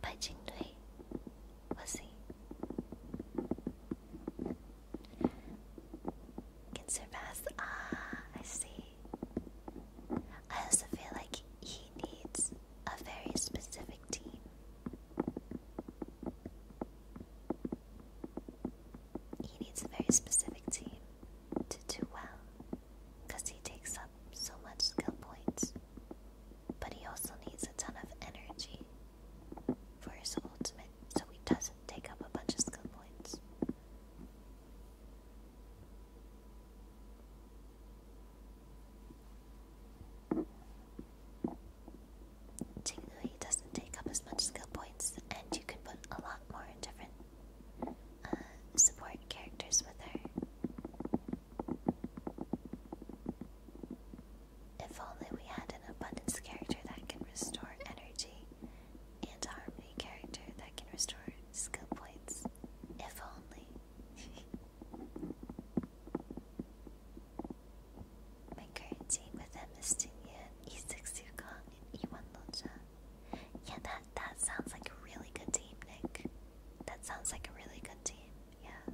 By Jingdui? Was he? Can surpass. Ah, I see. I also feel like he needs a very specific team. He needs a very specific team to do well because he takes up so much skill points, but he also needs a ton of energy for his ultimate so he doesn't take up a bunch of skill points. Jingnui doesn't take up as much skill points, and you can put a lot more different uh, support characters with her. If only we had an abundance character that can restore energy and harmony character that can restore skill points, if only. My current team with them E6 Yukon, and E1 Loja. Yeah, that, that sounds like a really good team, Nick. That sounds like a really good team, yeah.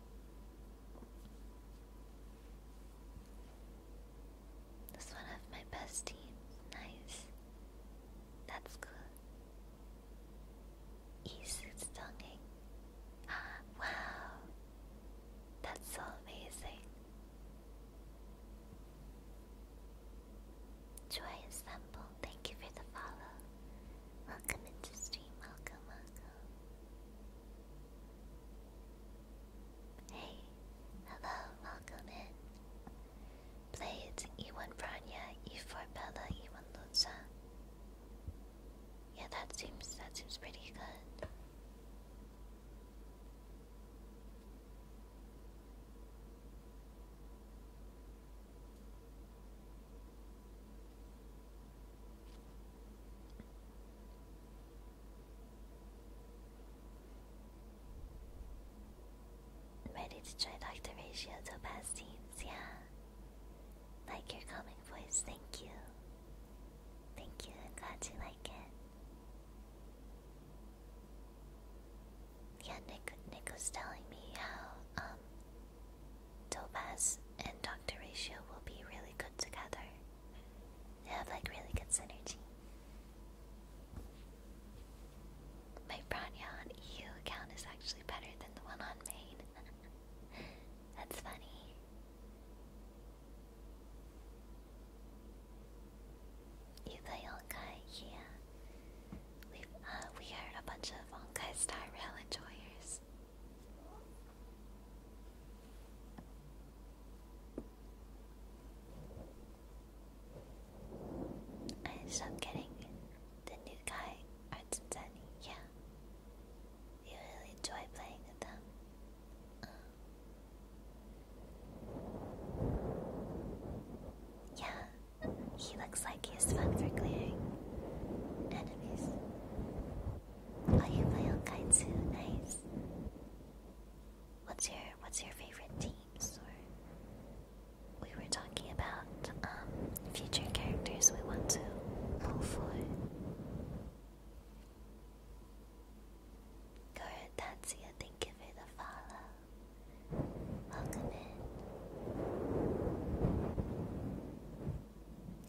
This one of my best teams. Nice. That's good. East is Ah, wow. That's so amazing. Joy Ensemble, thank you for the follow. Welcome into stream, welcome, welcome. Hey, hello, welcome in. Blades, E1 Branya, E4 Bella, E1 Lucha. Yeah, that seems that seems pretty good. Ready to try Dr. Ratio to yeah. Like your calming voice, thank you. Thank you, I'm glad you like it. Yeah, Nick was telling me how um, Topaz and Dr. Ratio will be really good together. They have like really good synergy. My Branya on EU account is actually better than the one on main. That's funny. You play Honkai? Yeah. We've, uh, we are a bunch of Honkai Star Rail enjoyers. I stopped getting the new guy, Arts Yeah, you really enjoy playing with them. Yeah, he looks like he's fun for clearing enemies. Oh, you play all kinds Nice. What's your What's your favorite team? Or we were talking about um, future characters we want to pull for. Good, Thank you for the follow. Welcome in.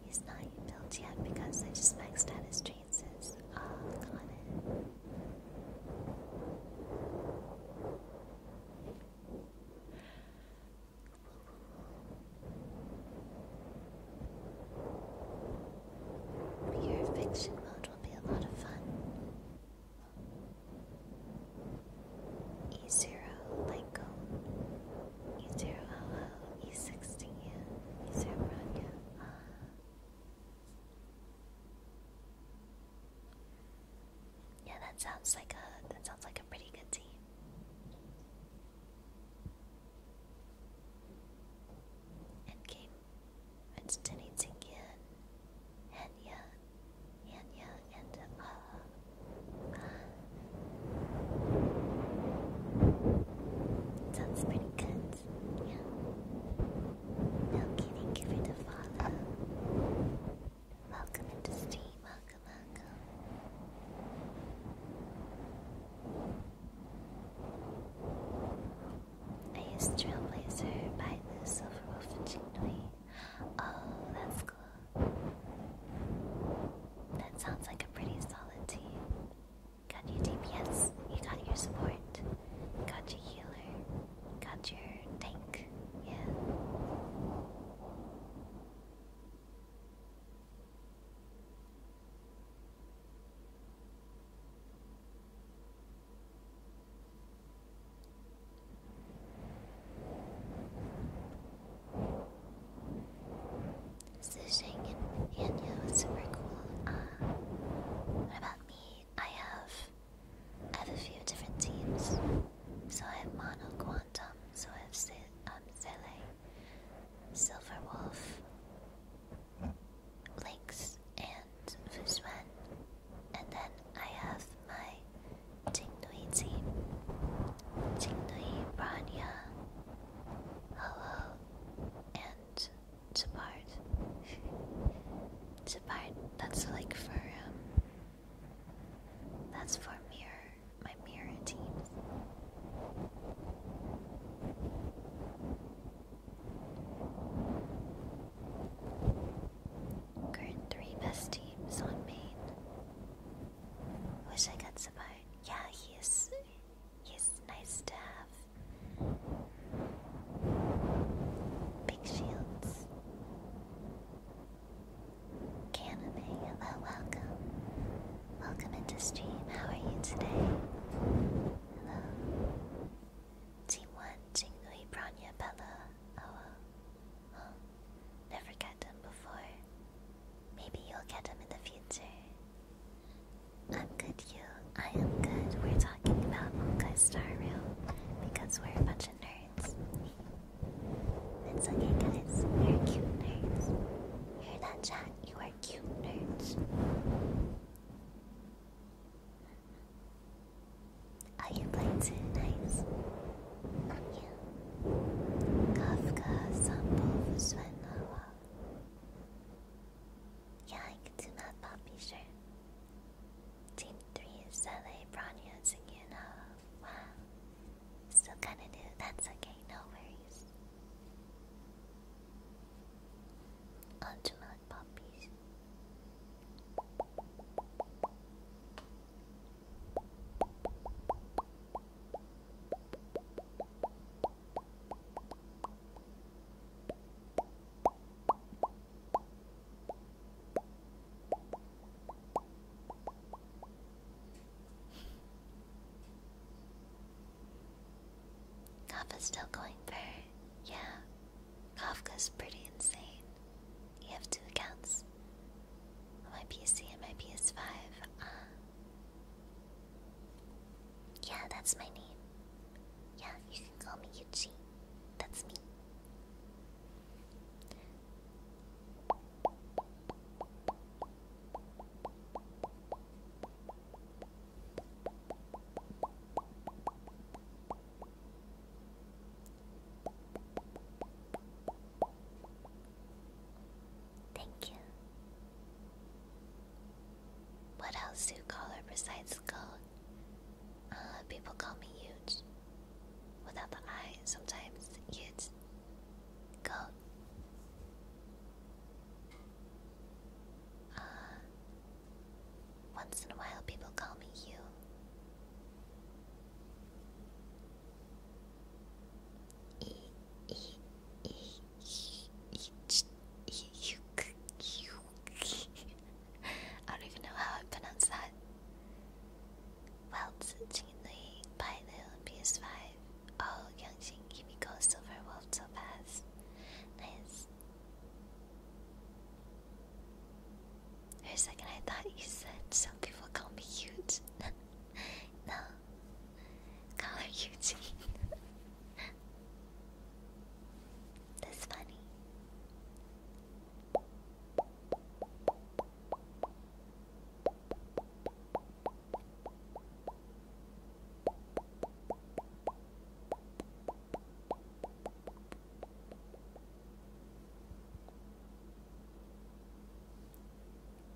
He's not built yet because I just maxed out his chances uh, oh, on it. Your fiction mode will be a lot of fun. E zero light cone E0 LL, E16, E0 Rania. Uh. Yeah, that sounds like a that sounds like a pretty good team. Endgame. It's Denny Tinkin, Henya, Henya, and uh Sounds pretty good. Yeah. Okay, thank you for the follow. Welcome into stream. Welcome, welcome. I used Trailblazer by the Silver Wolf and Chinoi. Oh, that's cool. That sounds like a pretty solid team. Got your DPS, you got your support, got your healer, got your tank, yeah. Sushing and Yanyo is super cool. Uh, what about me? I have I have a few different teams. So I have Mono Quantum, so I have Se um, Sele, Silver Wolf, Lynx, and Fuzuen. And then I have my Tingnui team. Tingnui, Branya, hello, and Jabard. Jabard, that's like for, um, that's for mirror, my mirror teams. Current three best teams on main. Wish I got Sabard. Yeah, he is Yes, nice to have big shields. Caname, eh? hello, oh, welcome. Welcome into stream. How are you today? Hello. Team 1, Jingui, Bella, Oa. Oh, never got them before. Maybe you'll get them in the future. I'm good, you. I am good. We're talking about Moonkai Star Rail because we're a bunch of nerds. It's okay, guys. You're cute nerds. Hear that, chat? You are cute nerds. Are you playing tonight? Nice. Yeah. Kafka, Sampo, Svennawa. Yeah, I can do that, Poppy, sure. Team 3 is LA, Bronya, Zagina. Wow. Still kinda new, that's okay, no worries. Ultimate Poppies. Kafka's still going for, yeah. Kafka's pretty insane. You have two accounts. My PC and my PS5. Uh, yeah, that's my name. Yeah, you can call me Yuchi. That's me. Thank you. What else do you call her besides skull? Uh, people call me huge. Without the eye, sometimes huge. Goat. Uh, once in a while, people call me you. I don't even know how I pronounce that. While by the pilot on PS5, all Youngshin Kimiko Silver Wolf so fast. Nice. For a second, I thought you said some people call me cute. no. Color Eugene. That's funny.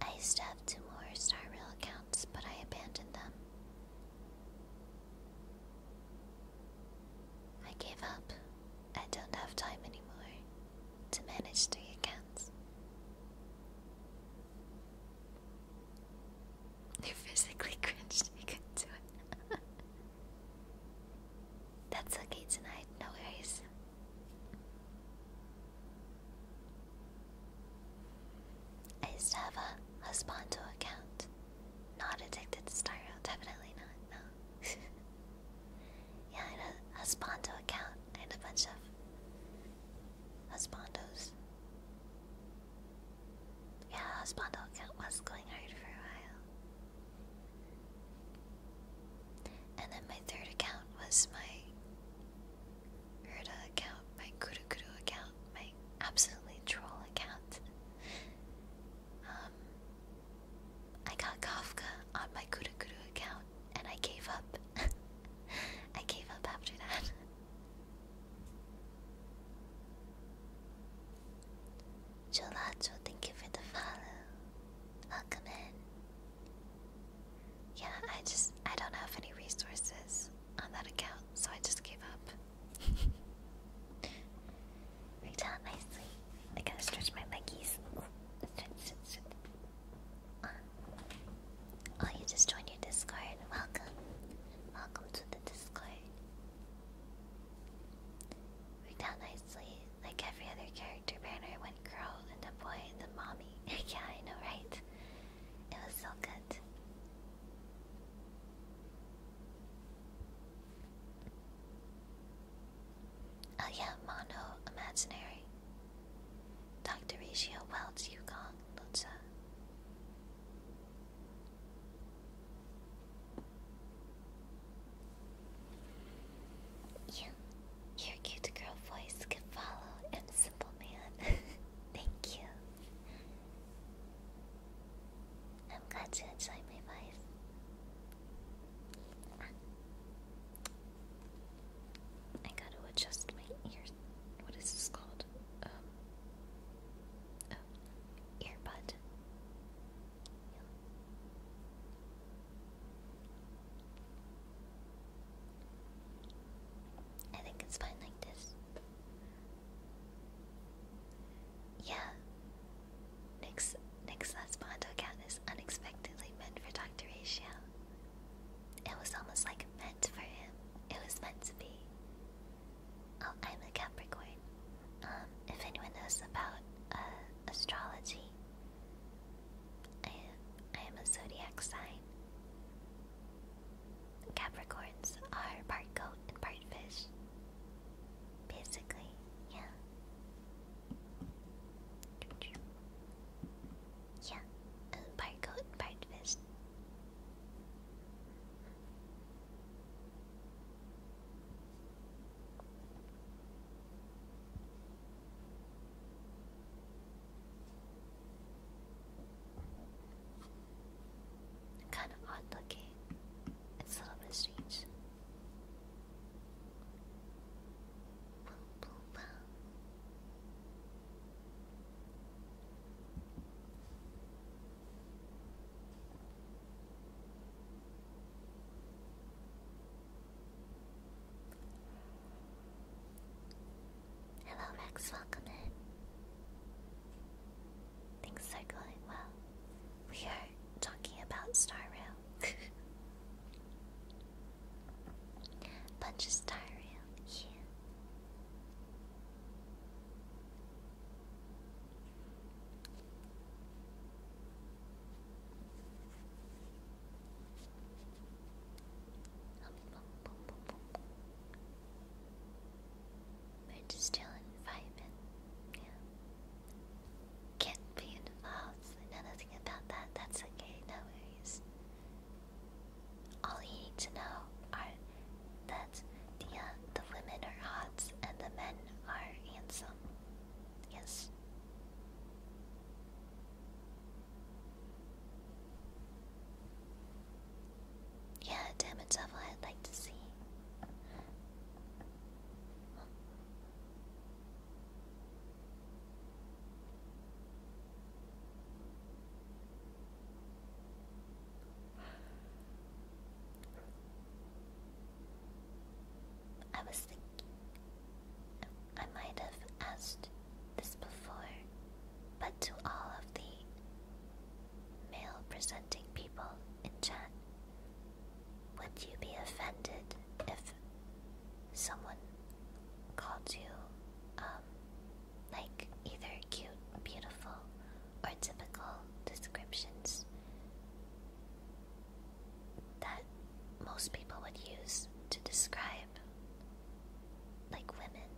I used to have two more Star Rail accounts, but I abandoned them. I gave up. I don't have time anymore to manage three accounts. They're physically cringed. I couldn't do it. That's okay tonight. No worries. I used to have a husbando account. Not addicted to styro. definitely not, no. yeah, a husbando account. and a bunch of husbandos. Yeah, husbando account was going hard for a while. And then my third account was my Herda account, my Kuru Kuru account, my absolutely troll account. Um, I got Kafka on my Kuru Kuru account and I gave up. I gave up after that. Jolacho, thank you for the follow. Welcome in. Yeah, I just I don't have any resources on that account, so I just gave up. Worked out nicely. I gotta stretch my leggies. Uh, oh, you just joined your Discord. Welcome. Welcome to the Discord. Worked out nicely. Like every other character banner went girl and the boy and the mommy. yeah, I know, right? It was so good. Oh yeah, mono imaginary. Dr. Ratio welds Yukong Lucha. Yeah, your cute girl voice can follow and simple man. Thank you. I'm glad you enjoy my voice. I gotta adjust my ears. What is this called? Um, oh, earbud. I think it's fine like this. Yeah. Nick's Nick's last Bondo cat is unexpectedly meant for Dr. Ratio. It was almost like meant for him. It was meant to be. Oh, I'm a Capricorn. Um, if anyone knows about uh, astrology, I, am a zodiac sign. Capricorns are part goat and part fish. Basically, yeah. Yeah, uh, part goat and part fish. Kind of odd looking. It's a little bit strange. Hello, Rex, welcome in. Things are going well. We are talking about Star Rail. Bunch of yeah. We're just chilling, vibing. Yeah. Can't be involved. nothing about that. That's okay. No worries. All you need to know are that the uh, the women are hot and the men are handsome. Yes. Yeah, damage level I'd like to see. I was thinking I might have asked this before, but to all of the male presenting people in chat, would you be offended if someone called you, um, like either cute, beautiful, or typical descriptions most people would use to describe like women.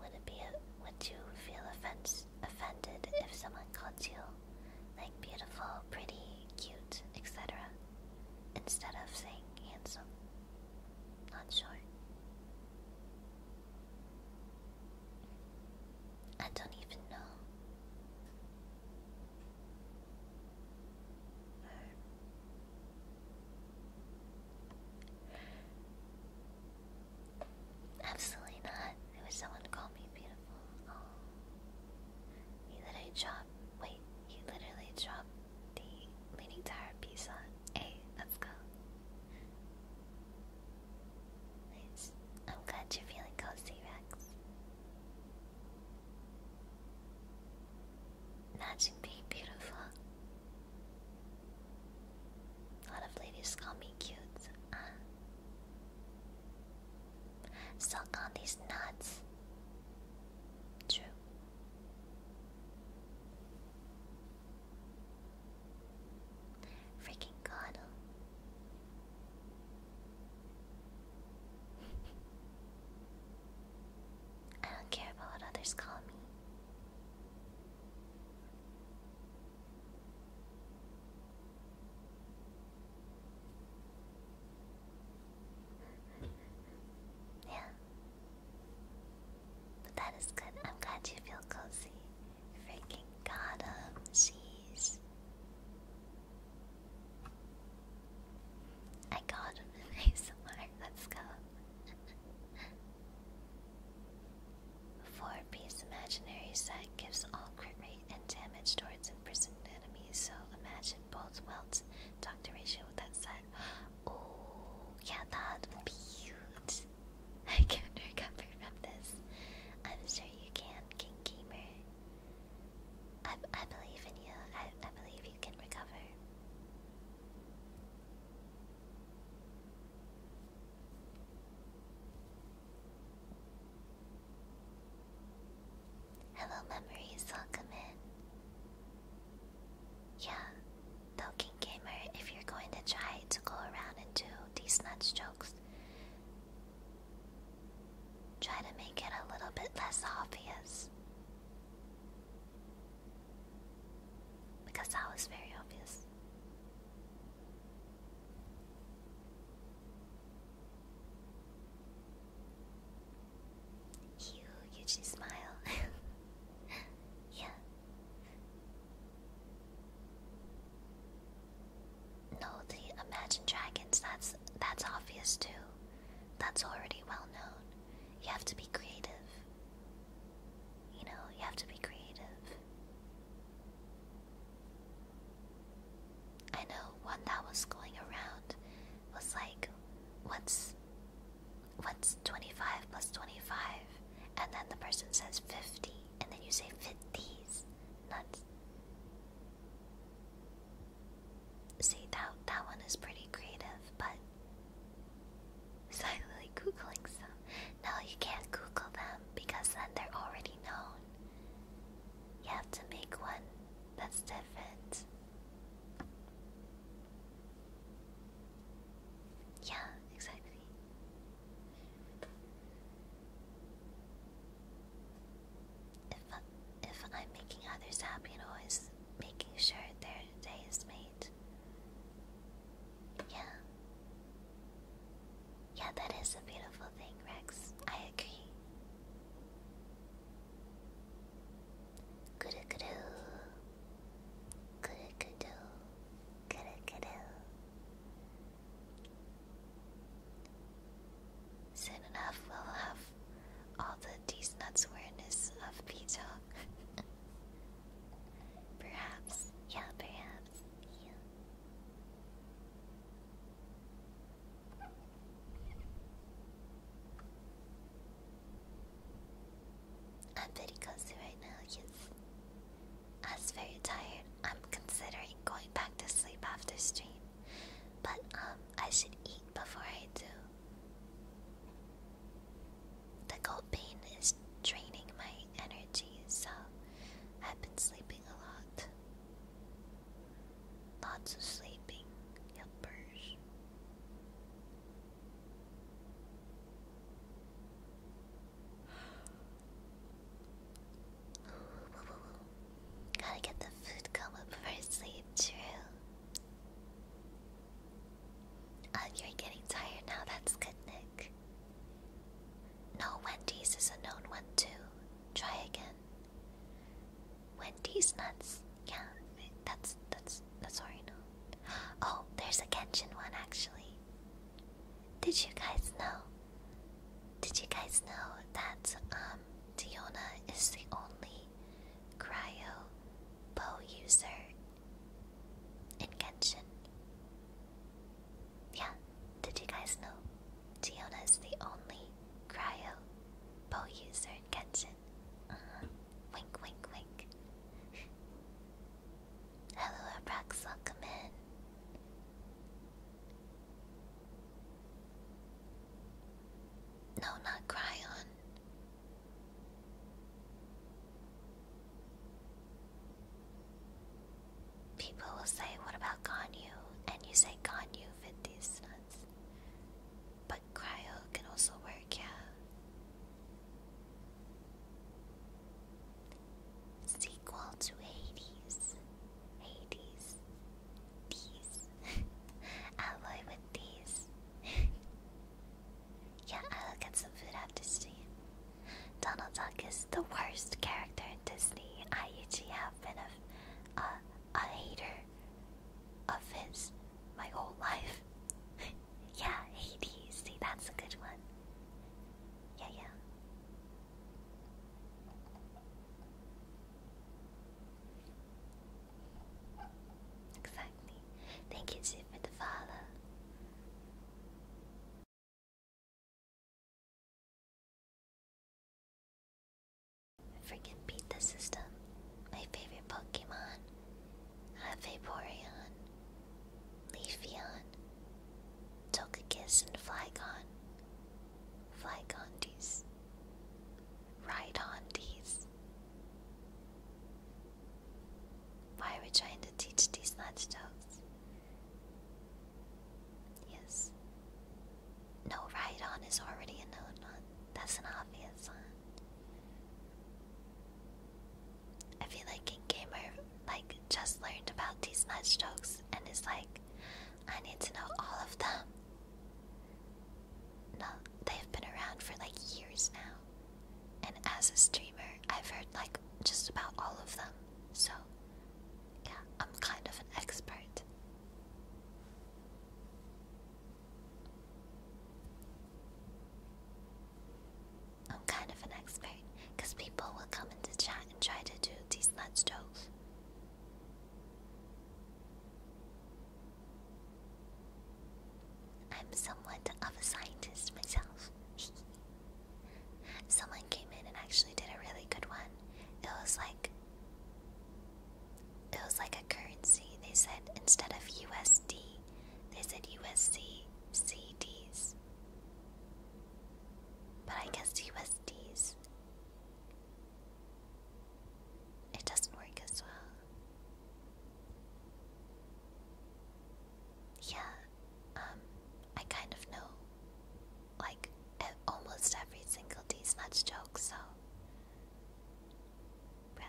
Would it be would you feel offense offended if someone called you like beautiful, pretty, cute, etc. instead of saying handsome? Not sure. I don't even know. Absolutely not. It was someone called me beautiful. He oh. literally dropped. Wait, he literally dropped the Leaning Tower piece Hey, let's go. I'm glad you're feeling cozy, Rex. Imagine being beautiful. A lot of ladies call me cute. Uh, suck on these nuts. True. Freaking god. I don't care about what others call me. Yeah. But that is good. I'm glad you feel cozy. Freaking got him. I got him in Let's go. Four piece imaginary set gives all crit rate and damage towards imprisoned enemies. So imagine both welts doctor ratio with that set. Oh, yeah, that would be huge. I can recover from this. I'm sure you can, King Gamer. I, I believe in you. I, I believe you can recover. Hello, memories. Welcome in. Yeah, Tolkien Gamer, if you're going to try to go around and do these nuts jokes, Try to make it a little bit less obvious. Because that was very obvious. You usually smile. yeah. No, the Imagine Dragons, that's that's obvious too that's already well known. You have to be creative. You know, you have to be creative. I know one that was going around was like, what's what's 25 plus 25? And then the person says 50, and then you say 50s. Nuts. See that that one is pretty creative, but silently googling some. No, you can't Google them because then they're already known. You have to make one that's different. Yeah, exactly. If I, if I'm making others happy and always making sure their day is made. Yeah. Yeah, that is a beautiful thing, Rex. I agree. Guru guru. Guru guru. Guru guru. Soon enough, we'll have all the decent awareness of Pizza. perhaps. Yeah, perhaps. Yeah. I'm pretty cozy right now, yes. I was very tired. I'm considering going back to sleep after stream. But, um, I should eat before I do. The gold pain is draining my energy, so I've been sleeping a lot. Lots of sleeping helpers. Gotta get the food come up sleep, true. Uh, you're getting tired now, that's good, Nick. No, Wendy's is a known one too. Try again. Wendy's nuts. Yeah, that's that's that's already known. Oh, there's a Genshin one actually. Did you guys know? Did you guys know that um Diona is the only Cryo, Bow User, and Genshin. Yeah, did you guys know? Giona is the only Cryo, Bow User, and Genshin. Uh-huh. Wink, wink, wink. Hello, Abrax, welcome in. No, not Cryon. People will say, What about Ganyu? And you say Ganyu fit these nuts. But Cryo can also work, yeah. Sequel to Hades. Hades. These. alloy with these. yeah, I'll get some food after stream. Donald Duck is the worst character in Disney. I usually have been a, a, a hater of his my whole life. yeah, Hades. See, that's a good one. Yeah, yeah. Exactly. Thank you, Chief, for the follow. Freaking beat the system. My favorite Pokemon. I have Togekiss, and Flygon. Flygon, these. Rhydon, these. Why are we trying to teach these jokes? Yes. No right on is already a known one. That's an obvious one. I feel like in gamer like just learned about these jokes and is like, I need to know all of them. No, they've been around for like years now. And as a streamer, I've heard like just about all of them. So, yeah, I'm kind of an expert. I'm kind of an expert because people will come into chat and try to do these nuts jokes. I'm somewhat of a scientist myself. Someone came in and actually did a really good one. It was like it was like a currency. They said instead of USD, they said USC CDs. But I guess USDs it doesn't work as well. Yeah, um, I kind of know, like, almost every single D's joke, so. Well.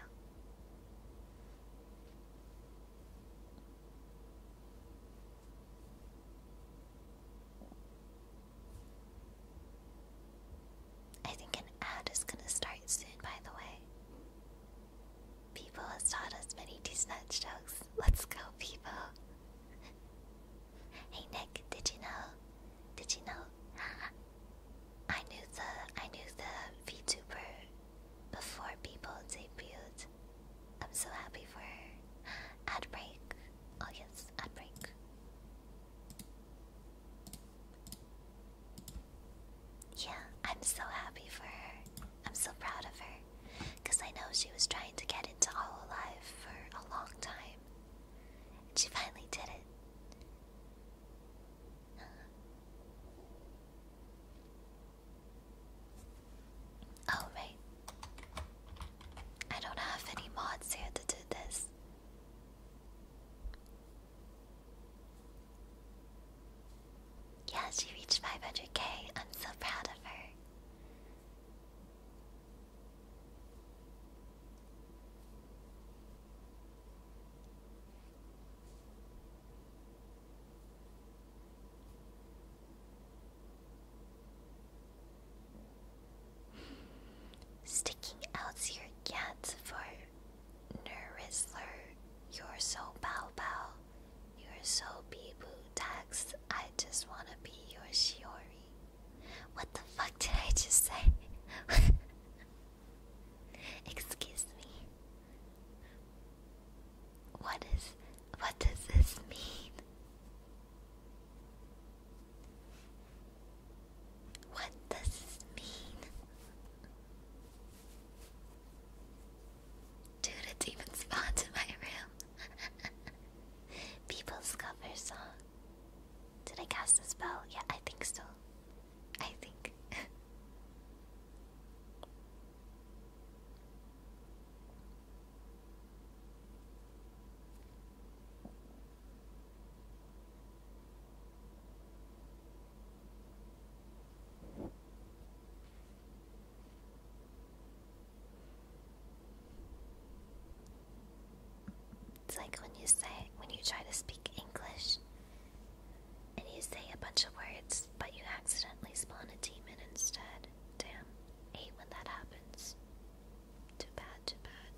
I think an ad is gonna start soon, by the way. People has taught us many decent jokes. Let's go, people. hey Nick, did you know? Did you know? I knew the I knew the VTuber before people debuted. I'm so happy for her. Ad break. Oh yes, ad break. Yeah, I'm so happy for her. I'm so proud of her. Because I know she was trying to get into life for a long time. And she finally did it. Uh-huh. Oh, right. I don't have any mods here to do this. Yeah, she reached 500k. I'm so proud of her. Sticking out your cat for Nurisler, you're so bow bow, you're so bee boo tax, I just wanna be your shiori. What the fuck did I just say? Excuse me. What is what does this mean? What does this mean? Dude, it's even spawned in my room. People's cover song. Did I cast a spell? Yeah, I think so. I think. It's like when you say, when you try to speak English and you say a bunch of words, but you accidentally spawn a demon instead. Damn, hate when that happens. Too bad, too bad.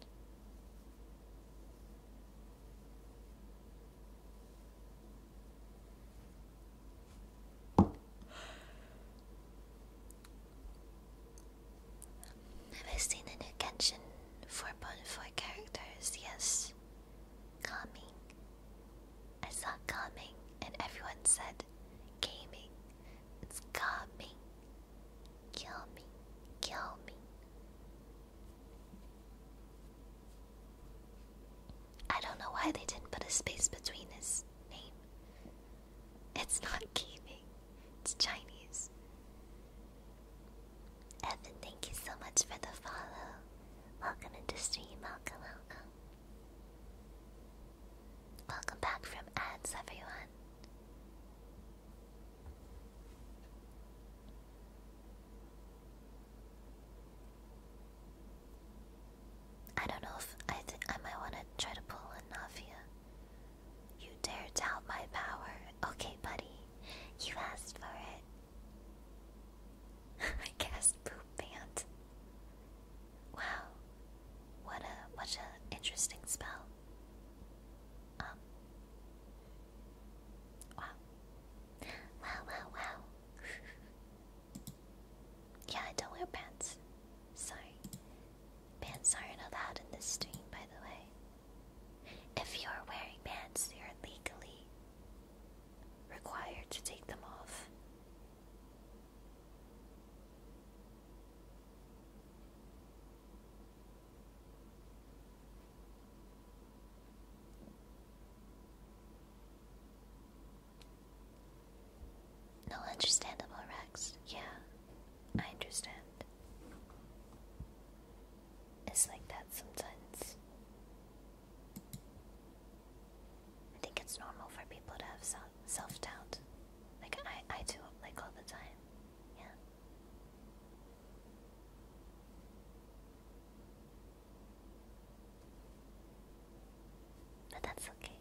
I've seen a new Genshin 4.4 characters, yes. Calming. I saw calming and everyone said gaming. It's calming. Kill me. Kill me. I don't know why they didn't put a space between his name. It's not gaming, it's Chinese. Evan, thank you so much for the follow. Welcome into stream, Welcome back from ads, everyone. I don't know if I I might want to try to pull in Navia. You dare doubt my power. Okay, buddy. You asked for it. I guess poop pant. Wow. What a what a interesting spell. Um Wow. Wow, wow, yeah, I don't wear pants. Sorry. Pants aren't allowed in this stream, by the way. If you're wearing pants, you're legally required to take them off. No understandable Rex. Yeah, I understand. It's like that sometimes. I think it's normal for people to have self self doubt. Like I I do like all the time. Yeah. But that's okay.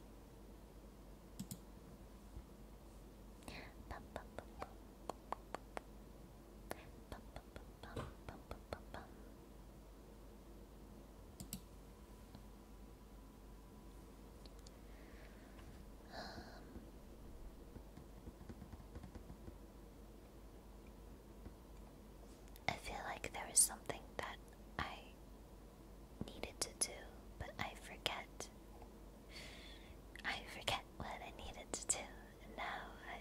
Um. I feel like there is something that I needed to do, but I forget. I forget what I needed to do, and now I.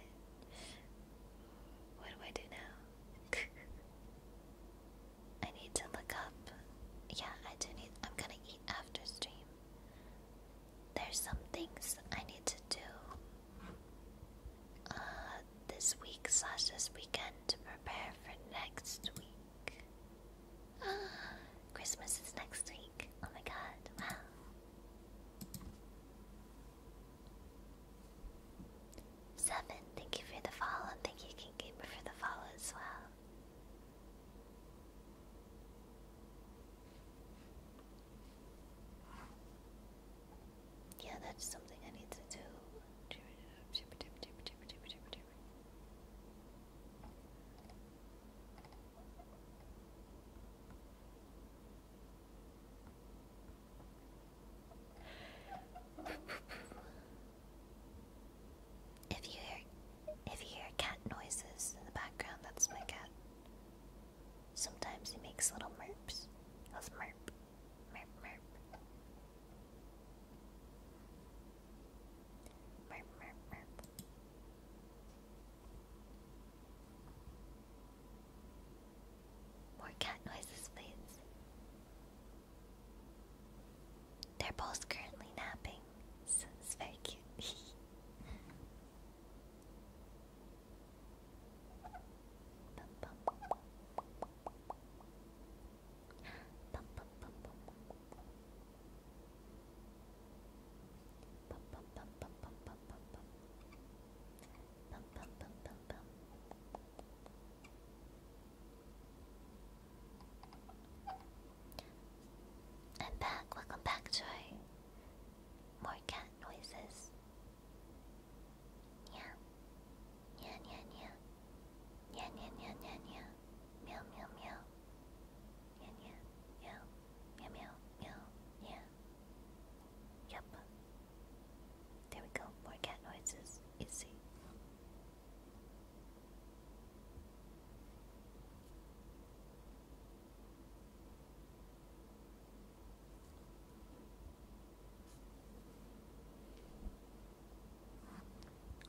What do I do now? I need to look up. Yeah, I do need. I'm gonna eat after stream there's some things I need to do uh, this week slash this weekend to prepare for next week. Ah, Christmas is next week. Oh my god, wow. Seven, thank you for the follow, and thank you, King Gamer, for the follow as well. Yeah, that's something I need to do. If you hear if you hear cat noises in the background, that's my cat. Sometimes he makes little merps of merp, merp, merp. Merp, merp, merp. More cat noises, please. They're both currently napping, so it's very cute. I'm back. Welcome back, Joy. More cat noises. Meow. Meow, meow, meow. Meow, meow, meow, meow, meow. Meow, meow, meow. Meow, meow, meow. Meow, meow, meow, There we go. More cat noises. Easy.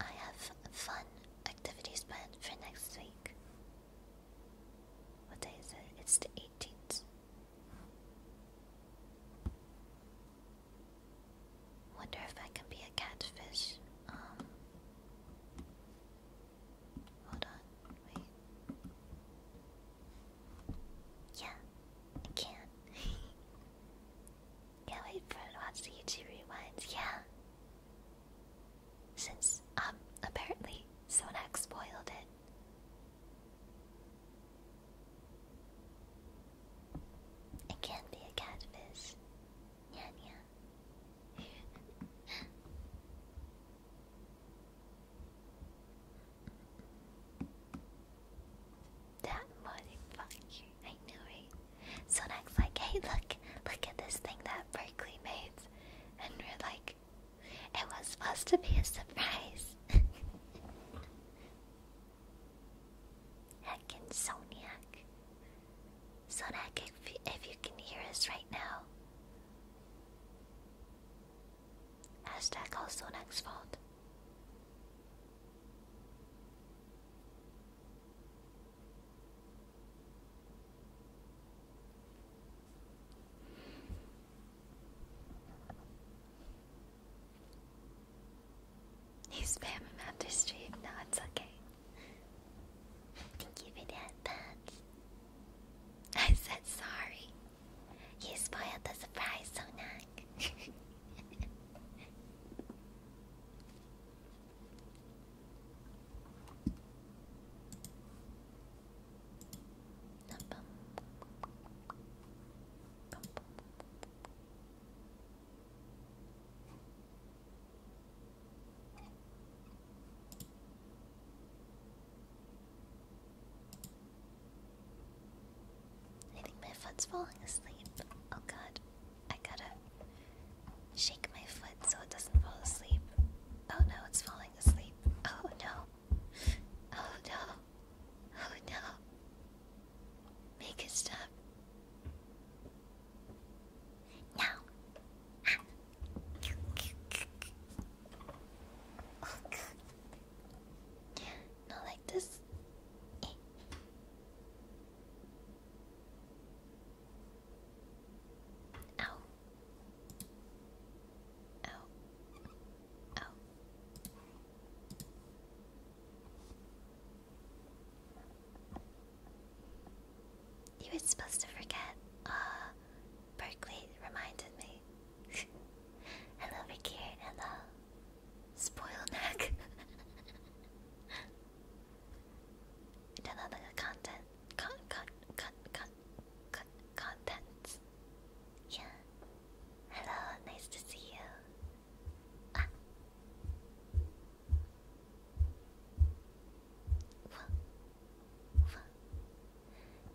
I have fun activities planned for next week. What day is it? It's the 18th. Wonder if I can be a catfish. Um, hold on. Yeah, I can. Can't wait for it to YouTube rewinds. Yeah. Since um apparently Sonak spoiled it. I can be a catfish. Yeah, yeah. That motherfucker. I knew it. So like, hey, look, look at this thing that Berkeley made. And we're like, it was supposed to be a surprise. Heckin' Soniac. Sodak, if, if you can hear us right now, Hashtag also next fault. You spam him after stream? No, it's okay. Thank you for that, I said sorry. You spoiled the surprise, Sonak. I think my foot's falling asleep. Oh god, I gotta shake my foot so it doesn't fall asleep. Oh no, it's falling asleep. Oh no. Oh no. Oh no. Make it stop. No. Ah. Oh god. Not like this. Eh. Ow. Ow. Ow. You were supposed to forget. Uh, Berkeley reminded me hello, Ricky. Hello. Spoil neck. do the content. Con con con con con contents. Yeah. Hello. Nice to see you. Ah.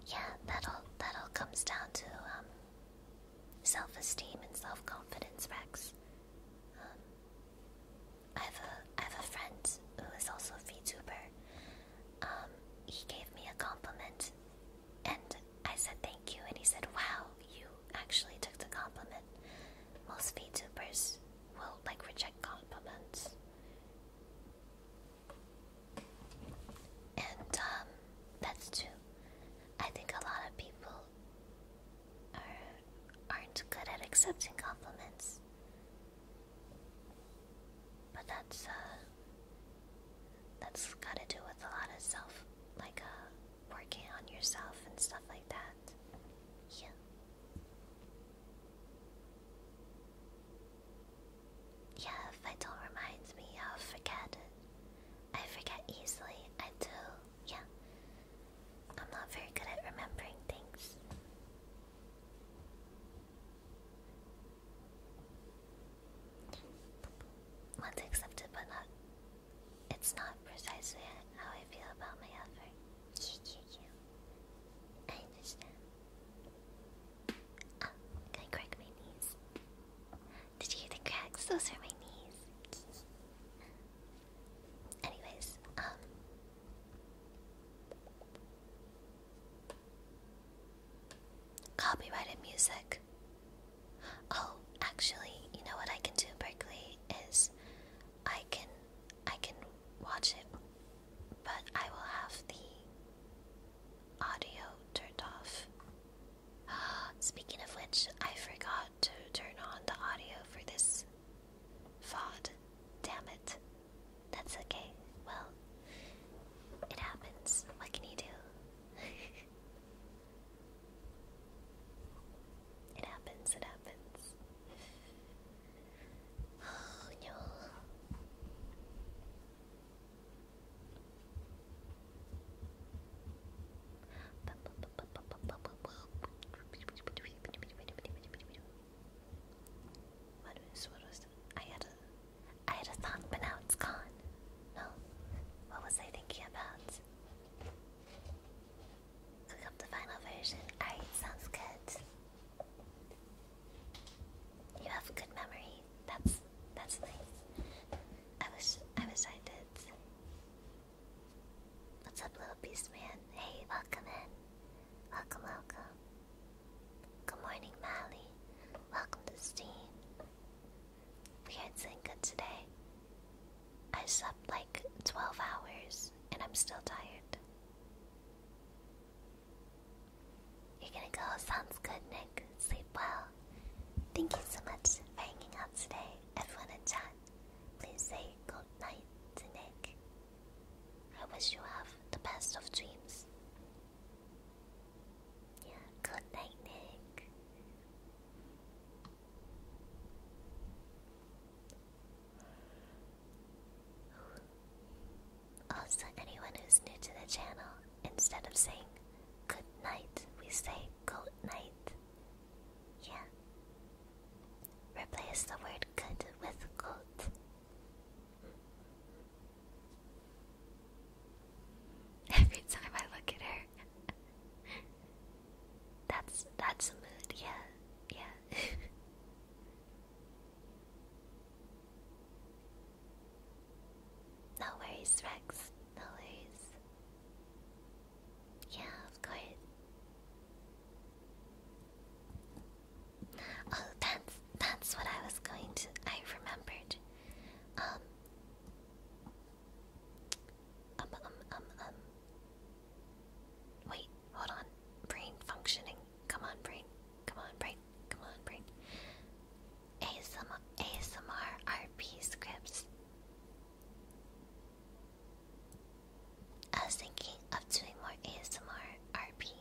Yeah, that all that all comes down to um, self-esteem and self-confidence, Rex. Um, I have a I have a friend who is also a VTuber. Um, he gave me a compliment, and I said thank you, and he said, "Wow, you actually took the compliment." Most VTubers will like reject compliments. And um, that's true. I think a lot of people are aren't good at accepting compliments. But that's uh, that's gotta do with a lot of self like uh, working on yourself and stuff like that. Yeah. Yeah, Vital reminds me how I forget it. I forget easily. I do. Yeah. I'm not very good at remembering things. Once accepted, but not. It's not precisely how I feel about my effort. I Ah, can I crack my knees? Did you hear the cracks? Those are my knees. Anyways, um. Copyrighted music. Oh, actually, you know what I can do, Berkeley, is I can I can watch it, but I will have the Audio turned off. Speaking of which, I forgot to turn on the audio for this VOD. Damn it. That's okay. Well, it happens. What can you do? it happens, it happens. Oh no. I had a I had a thought but now it's gone. No. What was I thinking about? Cook up the final version. Alright, sounds good. You have good memory. That's that's nice. I wish I wish I did. What's up, little beast man? Hey, welcome in. Welcome, welcome. Good morning, Mally. Welcome to Steam. We are doing good today. I slept like 12 hours and I'm still tired. You're gonna go. Sounds good, Nick. Sleep well. Thank you so much for hanging out today. Everyone at chat, please say good night to Nick. I wish you have the best of dreams. Yeah, good night, Nick. Also, anyone who's new to the channel, Instead of saying good night, we say goat night. Yeah. Replace the word good with goat. Every time I look at her. that's that's a mood, yeah. Yeah. No worries, Rex. No worries. Yeah, of course. Oh, that's that's what I was going to. I remembered. Um. Um. Um. Um. um. Wait, hold on. Brain functioning. Come on, brain. Come on, brain. Come on, brain. ASMR, ASMR RP scripts. I was thinking of doing more ASMR RP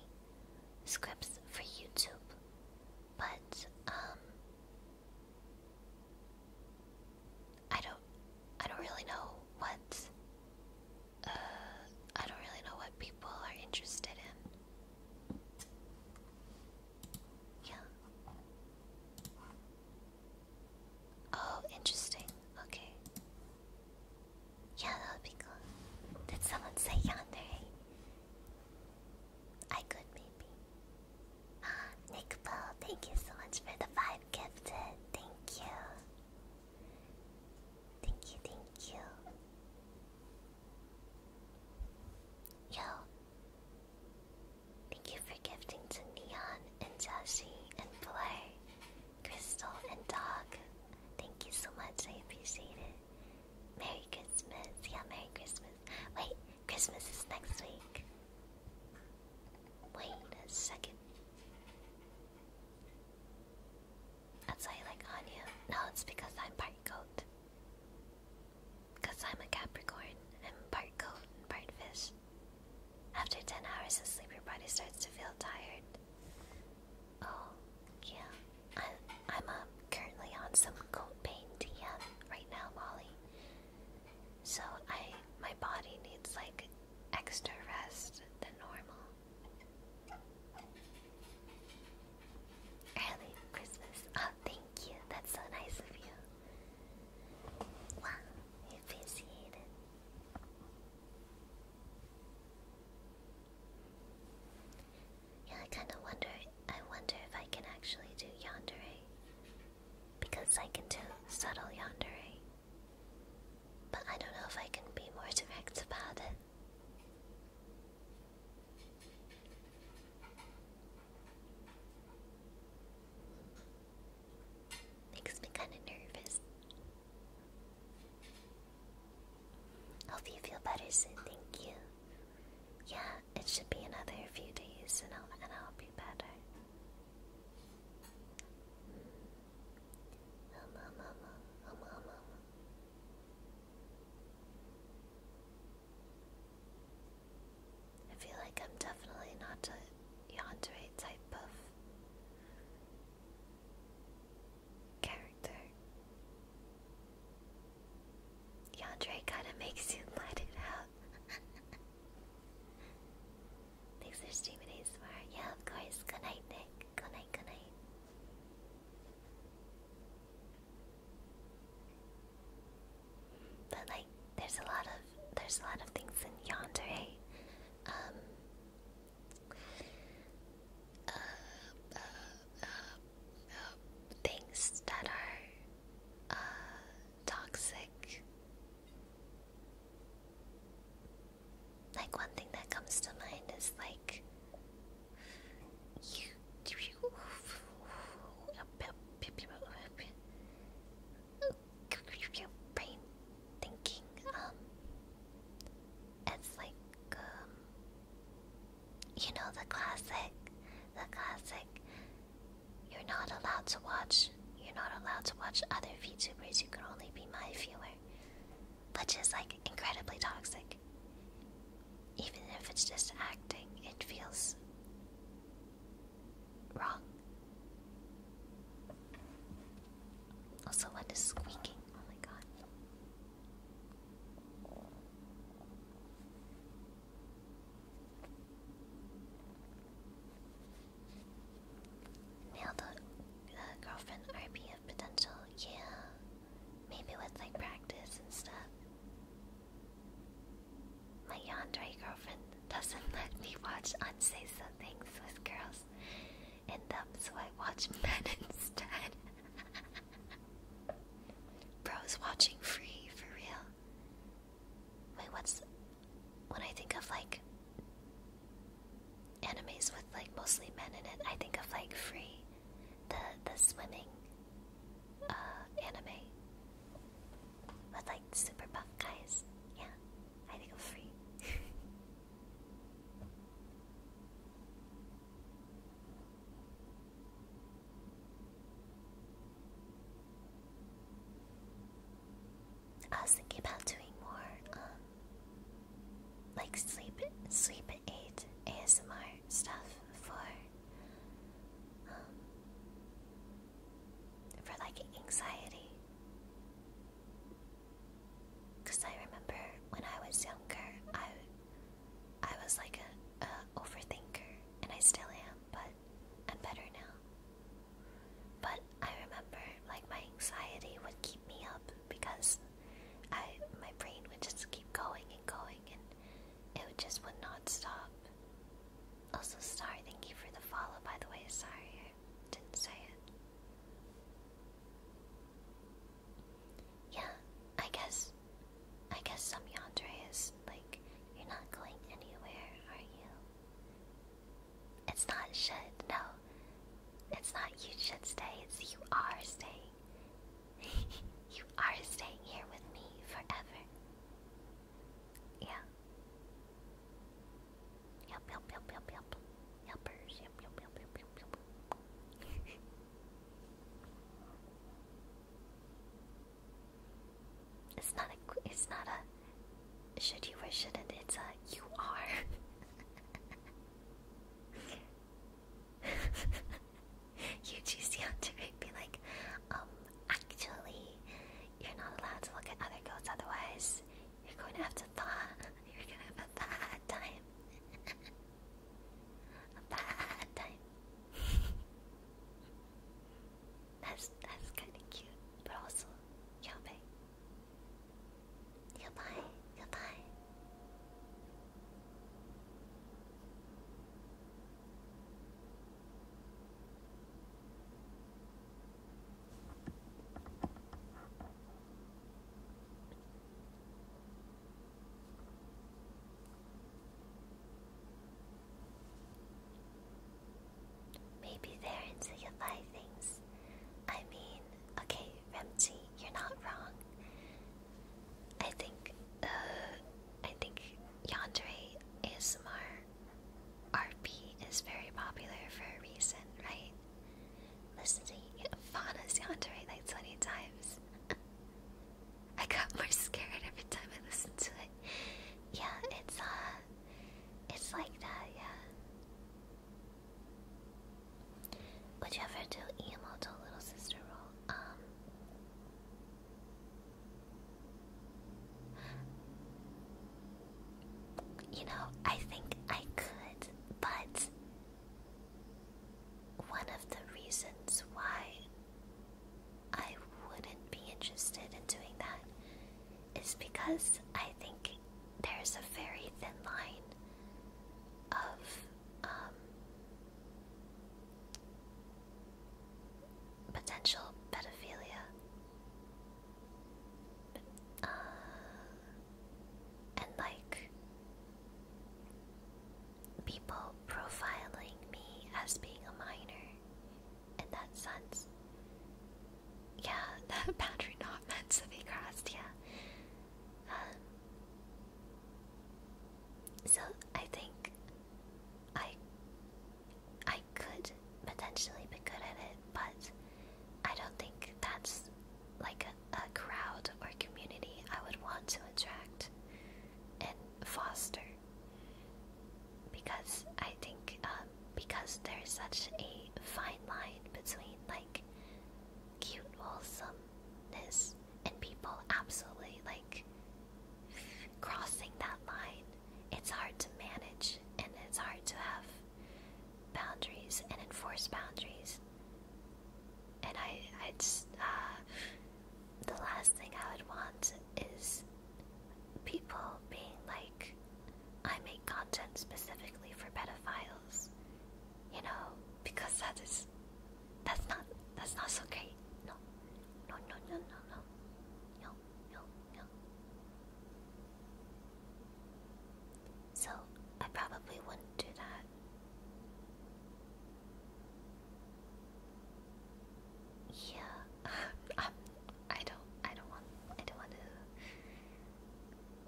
scripts for YouTube, but um, I don't, I don't really know what, uh, I don't really know what people are interested in. Yeah. Oh, interesting. Okay. Yeah, that Did someone say yonder? Eh? I could maybe. Ah, Nick Bell, thank you so much for the five gifted. Thank you. Thank you, thank you. Yo, Thank you for gifting to Neon and Jashi and Blair, Crystal and Dog. Thank you so much, I appreciate it. Merry Christmas. Yeah, Merry Christmas. Wait, Christmas is next week. Wait a second. That's why I like Anya. No, it's because I'm part goat. Because I'm a Capricorn, and part goat and part fish. After 10 hours of sleep, your body starts to feel tired. Oh, yeah. I, I'm uh, currently on some goat pain TM right now, Molly. So I, my body needs like extra rest than normal. Early Christmas. Oh, thank you. That's so nice of you. Wow, you Yeah, I kind of wonder. I wonder if I can actually do yandere, because I can do subtle yandere, but I don't know if I can be more direct about it. Makes me kind of nervous. Hope you feel better soon, thank you. Yeah, it should be another few days and I'll, and I'll be better. Um, um, um, um, um, um, um. I feel like I'm definitely not a yandere type of character. Yandere kind of makes you let it out. Thanks for streaming ASMR. Yeah, of course. Good night, Nick. Good night, good night. But like, there's a lot of there's a lot of things in yandere. Eh? Um. things that are uh, toxic. Like one thing that comes to mind is like brain thinking um it's like um you know the classic the classic you're not allowed to watch you're not allowed to watch other VTubers you can only be my viewer which is like incredibly toxic even if it's just acting, it feels wrong. Also, what is squeaking? Oh my god. Nail the girlfriend RP of potential, yeah. Maybe with like practice and stuff. My yandere girlfriend doesn't let me watch unseasoned things with girls and them, um, so I watch men instead. Bro's watching free for real. Wait, what's when I think of like animes with like mostly men in it? I think of like free, the the swimming uh, anime. With like super buff guys. Yeah, I think free. I was thinking about doing more, um, like sleep, sleep eight ASMR stuff for for like anxiety. Cause I remember when I was younger, I I was like a, overthinker, and I still am, but I'm better now. But I remember like my anxiety would keep me up because I my brain would just keep going and going and it just would not stop. Also, sorry. thank you for the follow, by the way. Sorry, I didn't say it. Yeah, I guess. I guess some yandere is like, you're not going anywhere, are you? It's not should, no. It's not you should stay, it's you are staying. you are staying here with me forever. Yeah. Yep, yep, yep, yep, yep. Yuppers, it's not a, it's not a, should you wish it? not it's a, you are. You UGC on Twitter be like, um, actually, you're not allowed to look at other goats, otherwise, you're going to have to thaw. You're going to have a bad time. a bad time. that's that's kind of cute, but also yabe. Goodbye, goodbye. Maybe they're into things. I mean, okay, Remchi, you're not wrong. I think uh, I think is ASMR RP is very popular for a reason, right? Listening to Fana's Yandere like 20 times. I got more scared every time I listen to it. Yeah, it's uh it's like that, yeah. Would you ever do emo to Little Sister Roll? Um, you know, I think I could, but one of the reasons why I wouldn't be interested in doing that is because I think there's a very thin line of um potential pedophilia. Uh, and like people profiling me as being a minor in that sense. Yeah, that boundary not meant to be crossed, yeah. Um, so I think I I could potentially be good at it, but I don't think that's like a, crowd or community I would want to attract and foster. Because I think, um, because there's such a fine line between like cute wholesomeness and people absolutely like crossing that line it's hard to manage and it's hard to have boundaries and enforce boundaries. And I, I just, uh, the last thing I would want is people being like, I make content specifically for pedophiles, you know, because that is, that's not, that's not so great. No, no, no, no, no, no, no no, no. So, I probably wouldn't do that. Yeah, I'm, um, I don't want, I don't want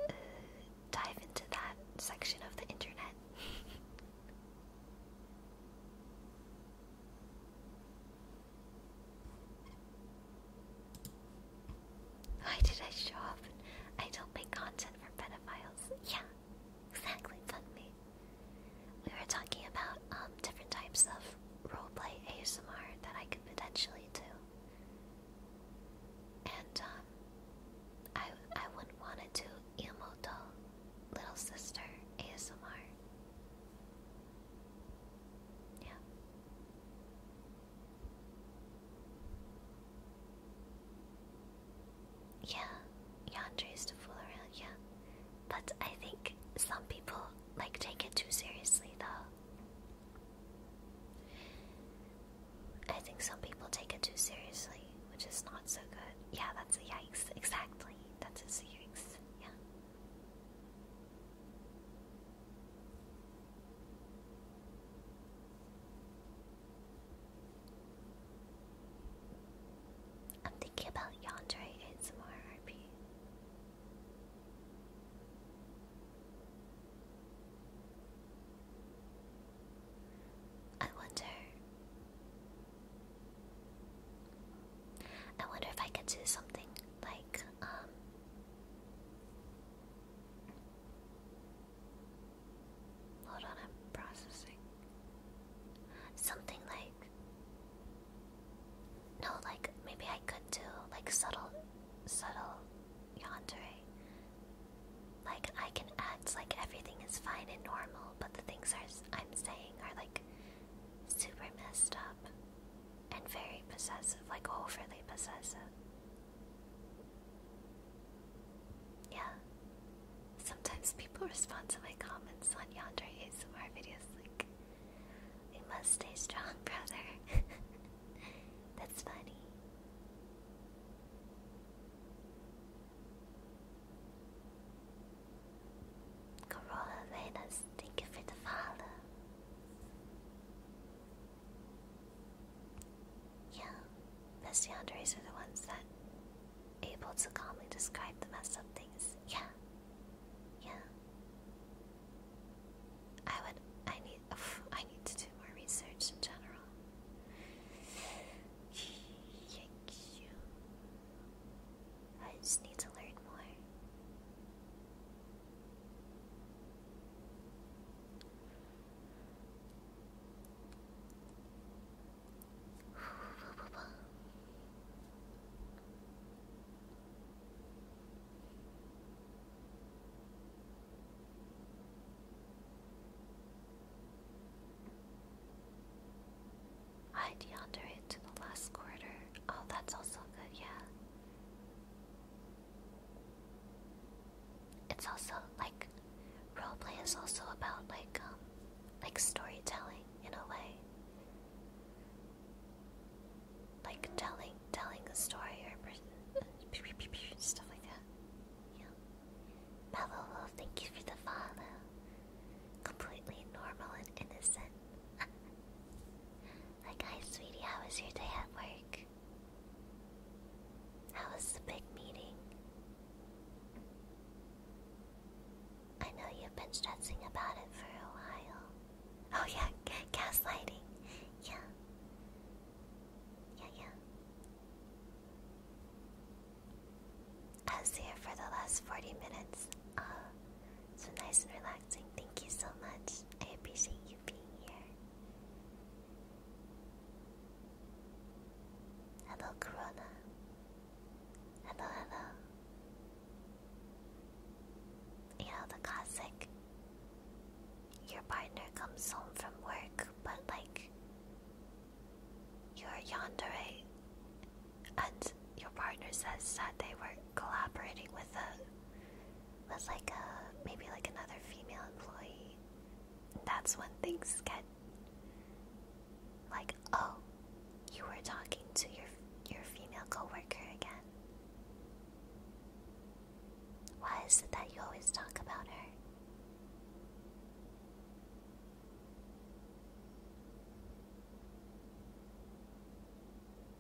to uh, dive into that section of the internet. Why did I show up? I don't make content for pedophiles. Yeah, exactly, fun me. We were talking about um different types of roleplay ASMR that I could potentially do. And um I I wouldn't want to do Iamoto Little Sister ASMR. Yeah. Yeah, yandere is to fool around, yeah. But I think some people like take it too seriously though. I think some people take it too seriously, which is not so good. Yeah, that's a yikes. Exactly. That's a yikes. Yeah. I'm thinking about yonder. and some more RP. I wonder I wonder if I could do something like, um, hold on, I'm processing. Something like, no, like maybe I could do like subtle, subtle yandere. Like I can act like everything is fine and normal, but the things I'm saying are like super messed up and very possessive, like overly possessive. Yeah. Sometimes people respond to my comments on Yonder ASMR videos like, we must stay strong, brother. That's funny. Corolla Venus, thank you for the follow. Yeah, best boundaries are the ones that able to calmly describe the mess of things. Yeah, yeah. I would. I need. I need to do more research in general. Thank I just need to learn more. I'd yonder it to the last quarter. Oh, that's also good, yeah. It's also like role play is also about like um like storytelling in a way. Like telling telling a story or uh, stuff like that. Yeah. Mellow thank you for the follow. Completely normal and innocent. Like, hi, sweetie, how was your day at work? How was the big meeting? I know you've been stressing about it for a while. Oh, yeah, gaslighting. Yeah. Yeah, yeah. I was here for the last 40 minutes. Uh, so nice and relaxing. Thank you so much. I appreciate you being here. Hello, Corona. Hello, hello. You know, the classic. Your partner comes home from work, but like, you're yandere and your partner says that they were collaborating with a with like a maybe like another female employee. That's when things get like, oh, you were talking to your your female coworker again. Why is it that you always talk about her?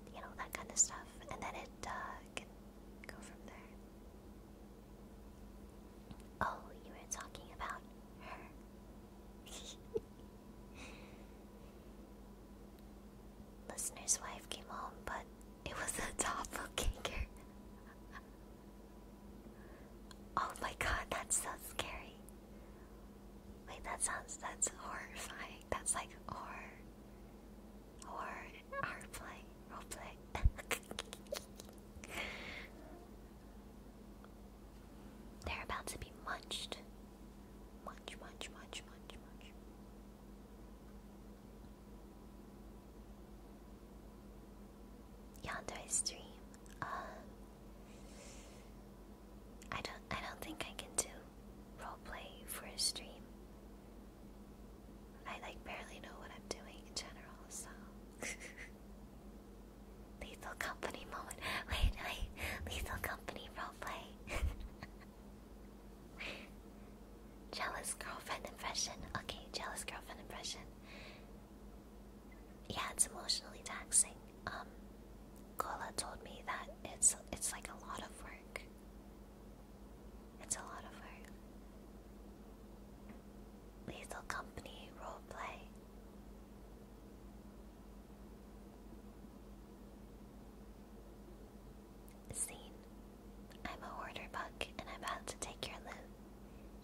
you know, that kind of stuff. And then it uh, go from there. Oh, you were talking about her. Listener's wife came home, but it was a doppelganger. oh my god, that's so scary. Wait, that sounds that's horrifying. That's like horror, horror, hard play, role play. They're about to be munched. Munch, munch, munch, munch, munch. Yandere stream. Uh, I don't I don't think I can do roleplay for a stream. I like barely know what I'm doing in general, so Lethal company moment. Wait, wait, lethal company roleplay. jealous girlfriend impression. Okay, jealous girlfriend impression. Yeah, it's emotionally taxing. Um, Kola told me that it's it's like a lot of work. It's a lot of work. Lethal Company roleplay. Scene. I'm a hoarder buck and I'm about to take your loot.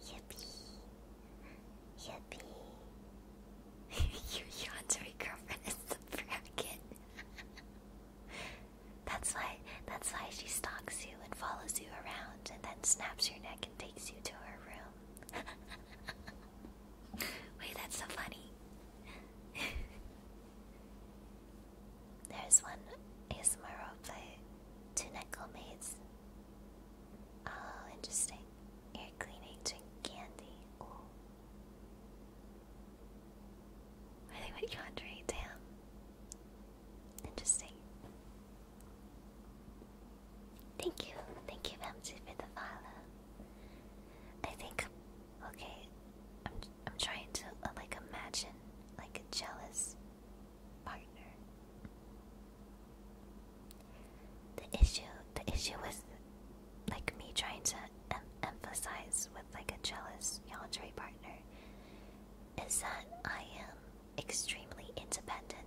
Yippee. Yippee. you yawned, girlfriend is the bracket. that's why that's why she stalks you and follows you around and then snaps your neck and takes you to her room. Wait, that's so funny. There's one ASMR roleplay. Two knuckle maids. Oh, interesting. Ear cleaning, drink candy. I think we got right down. Interesting. Thank you, thank you, Ramsey, for the follow. I think, okay, I'm I'm trying to uh, like imagine like a jealous partner. The issue, the issue was like me trying to emphasize with like a jealous yandere partner is that I am extremely independent.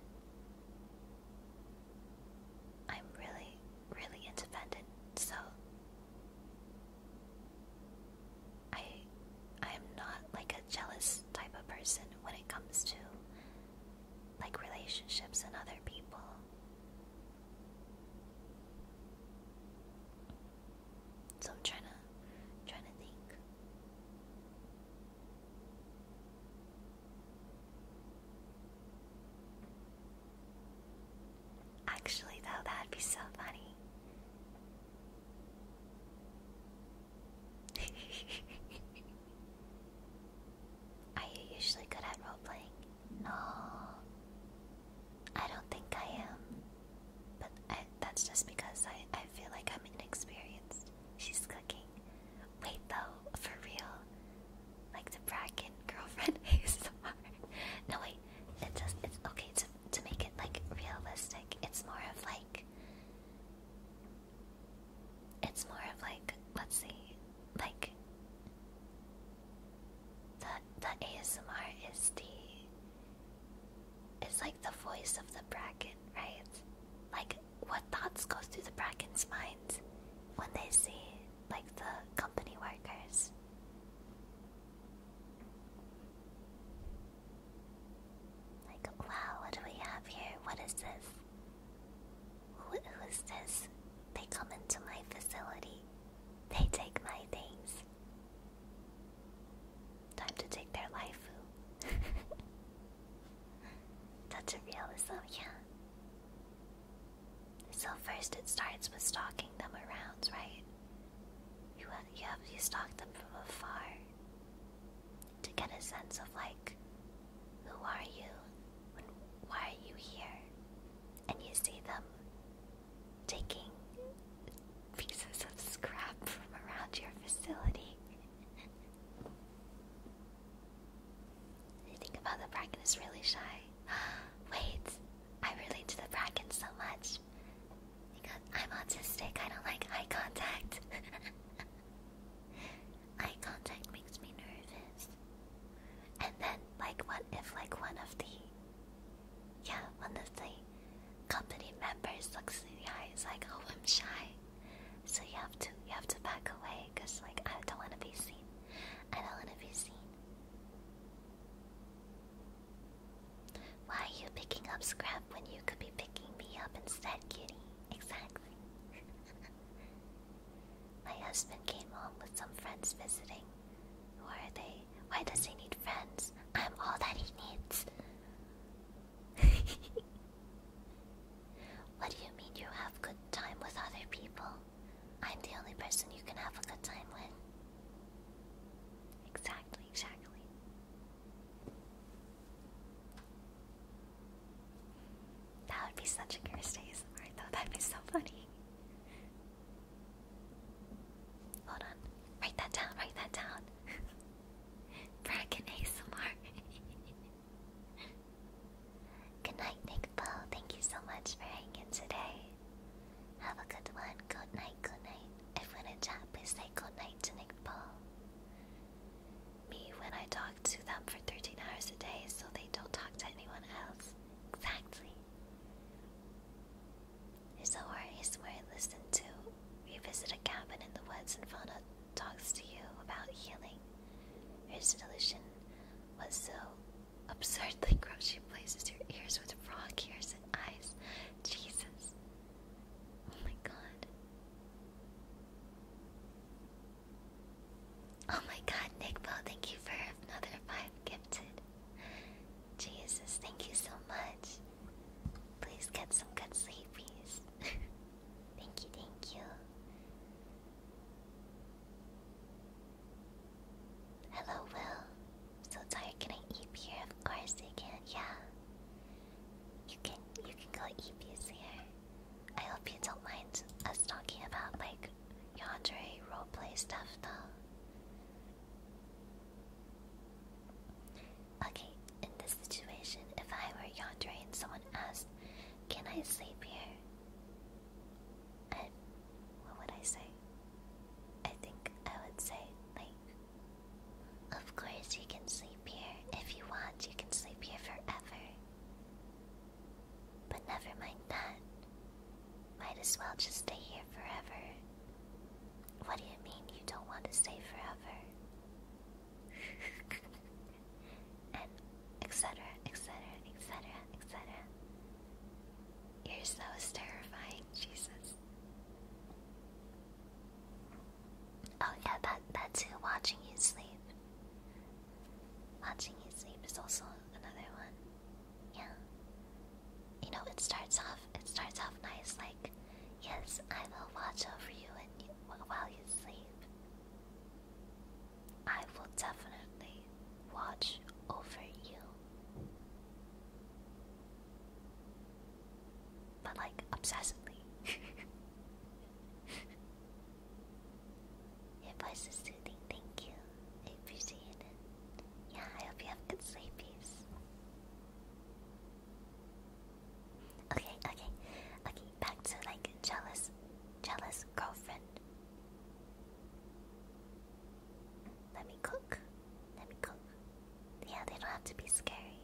I'm really, really independent, so I I am not like a jealous type of person when it comes to like relationships and other people. So I'm trying to trying to think. Actually though that'd be so funny. Are you usually good at role playing? No, I don't think I am. But that's just because I, I feel like I'm inexperienced. She's cooking. Wait though, for real. Like the bracken girlfriend ASMR. no wait, It's just it's okay to to make it like realistic. It's more of like it's more of like let's see, like the the ASMR is the It's like the voice of the bracken, right? Like what thoughts go through the bracken's minds when they see like the company workers. Like wow, what do we have here? What is this? Who, who is this? They come into my facility. They take my things. Time to take their life. That's a realism, oh, yeah. So first it starts with stalking them around, right? You have, you stalk them from afar to get a sense of like, who are you? When, why are you here? And you see them taking pieces of scrap from around your facility. you think about the bracken really shy. Wait, I relate to the bracken so much. Because I'm autistic, I don't like eye contact. eye contact makes me nervous. And then, like, what if, like, one of the yeah, honestly, company members looks in the eyes like, oh, I'm shy. So you have to you have to back away, cause like I don't want to be seen. I don't want to be seen. Why are you picking up scrap when you could be picking me up instead, kitty? Exactly. My husband came home with some friends visiting, who are they? Why does he need friends? I'm all that he needs. what do you mean you have good time with other people? I'm the only person you can have a good time with. Exactly, exactly. That would be such a curse ASMR though, that'd be so funny. Hold on. Write that down. Write that down. Bracken ASMR. good night, Nick Bo. Thank you so much for hanging today. Have a good one. Good night. Good night. If we're in chat, please good night Nick Bo. Me when I talk to them for 13 hours a day, so they don't talk to anyone else. Exactly. His aura is where I listen to. revisit a cabin in the woods and Fauna talks to you about healing. Her delusion was so absurdly gross she places your ears with frog ears and eyes. Jesus. Oh my god. Oh my god, Nick Bo, thank you for another five gifted. Jesus, thank you so much. Please get some good sleepies. thank you, thank you. Hello, Will. So tired. Can I eep here? Of course you can. Yeah. You can. You can go eep here. I hope you don't mind us talking about like yandere roleplay stuff, though. Okay, in this situation, if I were yonder and someone asked, Can I sleep here? And what would I say? I think I would say, like, Of course you can sleep here. If you want, you can sleep here forever. But never mind that. Might as well just stay here forever. What do you mean you don't want to stay forever? and etc, etc, etc, etc. You're so terrifying, Jesus. Oh yeah, that that too, watching you sleep. Watching you sleep is also another one. Yeah. You know, it starts off. It starts off nice, like, yes, I will watch over you and while you sleep. I will definitely watch over you. But like obsessively. Your voice is soothing. Thank you. I appreciate it. Yeah, I hope you have good sleepies. Okay, okay, okay. Back to like jealous, jealous girlfriend. Let me cook. Let me cook. Yeah, they don't have to be scary.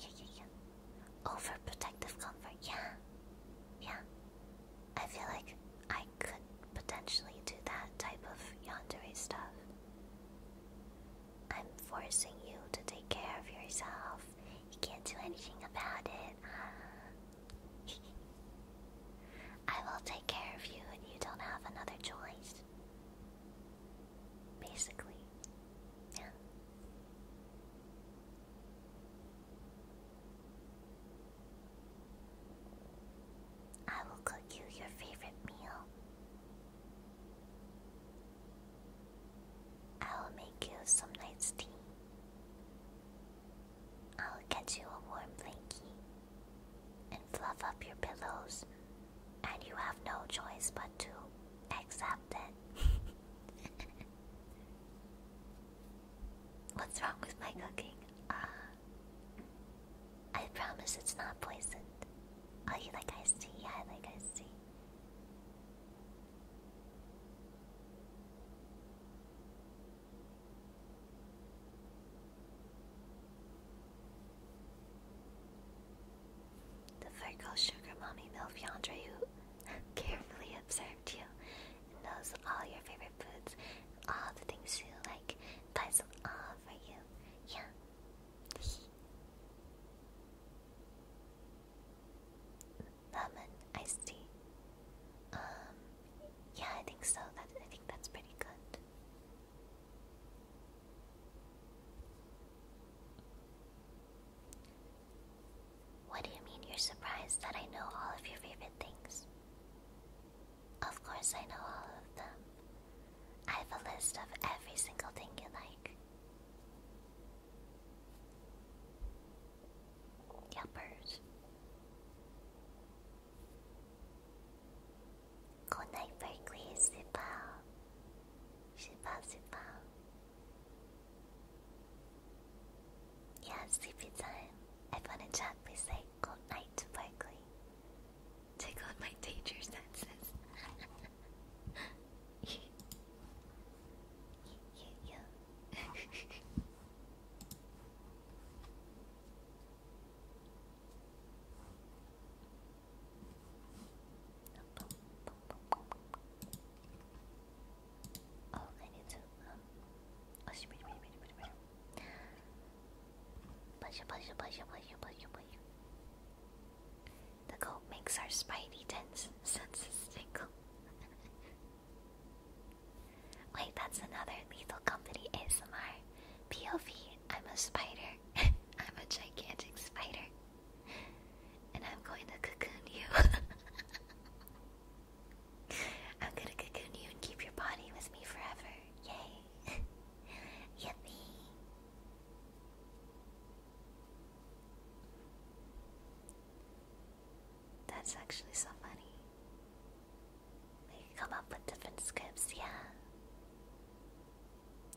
Yeah, yeah, yeah. Overprotective comfort. Yeah, yeah. I feel like I I could potentially do that type of yandere stuff. I'm forcing you to take care of yourself. You can't do anything about it. I will take care of you, and you don't have another choice. Basically, yeah. I will cook you your favorite meal. I will make you some nice tea. I will get you a warm blanket and fluff up your pillows, and you have no choice but to accept it. What's wrong with my cooking? Uh, I promise it's not poisoned. I oh, like ice tea? I like ice tea. The girl Sugar Mommy Milf Yandra, who carefully observed you and knows all your favorite foods all the things you like, buys all for you. Yeah. Ramen, iced tea. Um, yeah, I think so. That I think that's pretty good. What do you mean you're surprised that I know all of your favorite things? Of course, I know all of them. I have a list of every single thing you like. Yuppers. Good night, Berkeley. Super. Super, super. Yeah, sleepy time. Everyone in chat, please say goodnight, to Berkeley on my teacher senses. Oh, the goat makes our spidey tense senses tickle. Wait, that's another lethal company ASMR. POV, I'm a spider. I'm a gigantic spider. And I'm going to cocoon you. I'm gonna cocoon you and keep your body with me forever. Yay. Yippee! That's actually so funny. We come up with different scripts, yeah.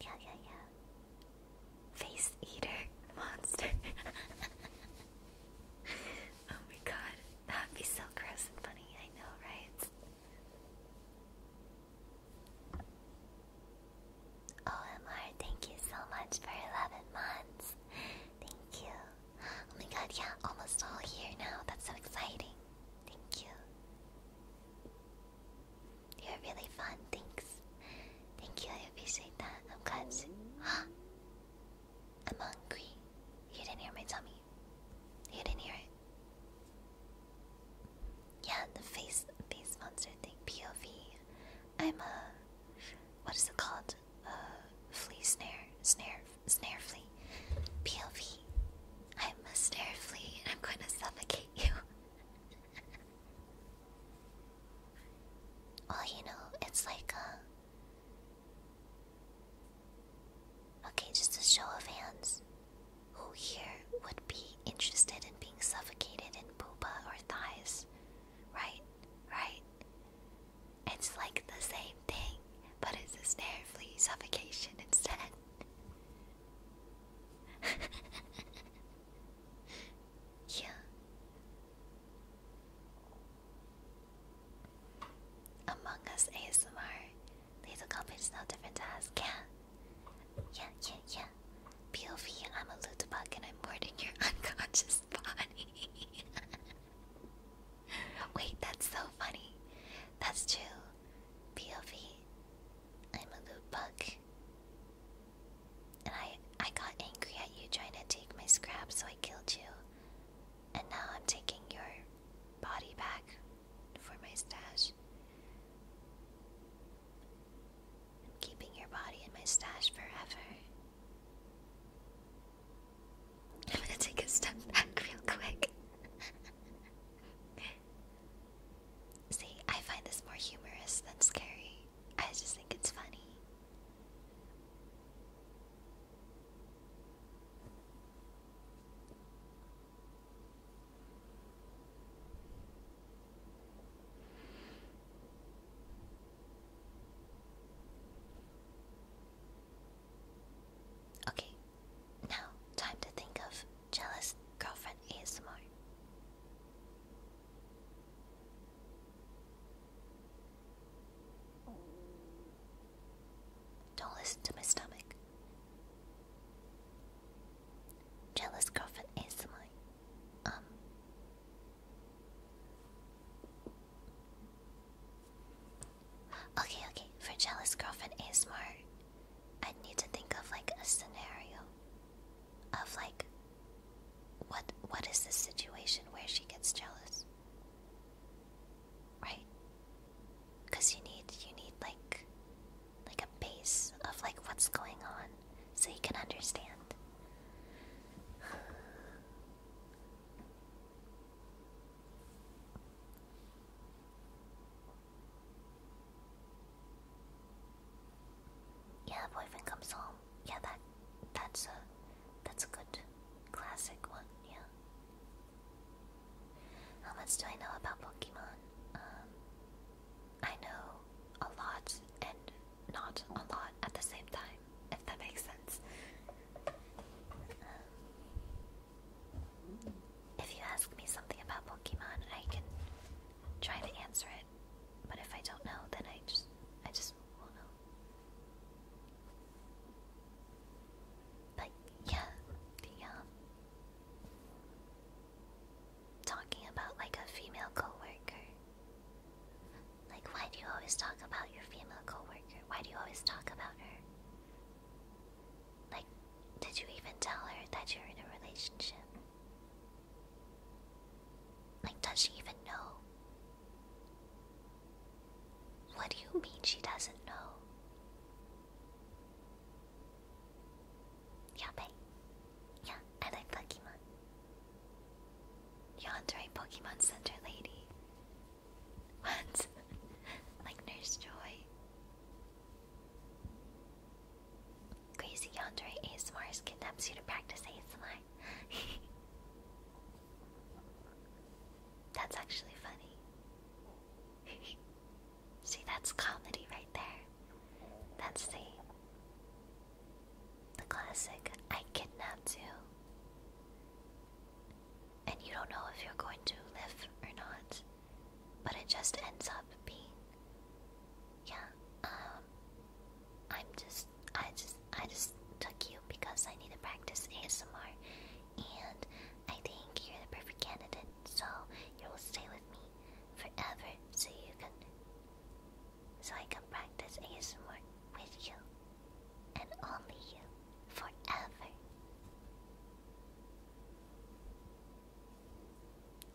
Yeah, yeah, yeah. Face eater monster. oh my god, that'd be so gross and funny. I know, right? OMR, thank you so much for 11 months. Thank you. Oh my god, yeah, almost all here now. That's so exciting. Thank you. You're really fun, thanks. Thank you, I appreciate that. I'm glad. I'm hungry. You didn't hear my tummy. You didn't hear it. Yeah, the face face monster thing. POV. I'm a what is it called? A flea snare, snare, snare flea. POV. I'm a snare flea, and I'm going to suffocate you. well, you know, it's like a. Uh, okay, just a show of hands. Who here would be interested in being suffocated in poopa or thighs? Right? Right? It's like the same thing, but it's a snare flea suffocation instead. yeah. Among Us ASMR these accomplish no different to us. Yeah. Yeah, yeah, yeah. POV, I'm a loot bug and I'm boarding your unconscious body. Wait, that's so funny. That's true. POV, I'm a loot bug. And I, I got angry at you trying to take my scrap, so I killed you. And now I'm taking your body back for my stash. I'm keeping your body in my stash forever. I'm gonna take a step back real quick. See, I find this more humorous than scary. I just think it's funny. Okay, now time to think of jealous girlfriend ASMR. Don't listen to my stomach. Jealous girlfriend ASMR. Um. Okay, okay. For jealous girlfriend ASMR, i need to think of like a scenario of like what what is the situation where she gets jealous? Right? Cause you need you need like like a base of like what's going on so you can understand. yeah, boyfriend comes home. Yeah, that that's a that's a good classic one. Yeah. How much do I know about Pokemon? Um, I know a lot and not a lot at the same time, if that makes sense. Um, if you ask me something about Pokemon, I can try to answer it. But if I don't know, then I just I just will know. But yeah, the um, talking about like a female coworker. Like, why do you always talk about your female coworker? Why do you always talk about her? Like, did you even tell her that you're in a relationship? Like, does she even know? What do you mean she doesn't know? Yabe. Yeah, I like Pokemon. Yandere Pokemon Center lady. What? like Nurse Joy. Crazy Yonder Yandere ASMR kidnaps you to practice ASMR. That's actually funny. See, that's comedy right there. That's the classic I kidnapped you. And you don't know if you're going to live or not. But it just ends up being Yeah, um I'm just I just I just took you because I need to practice ASMR and I think you're the perfect candidate, so you will stay with me forever so you can so I can practice ASMR with you and only you forever.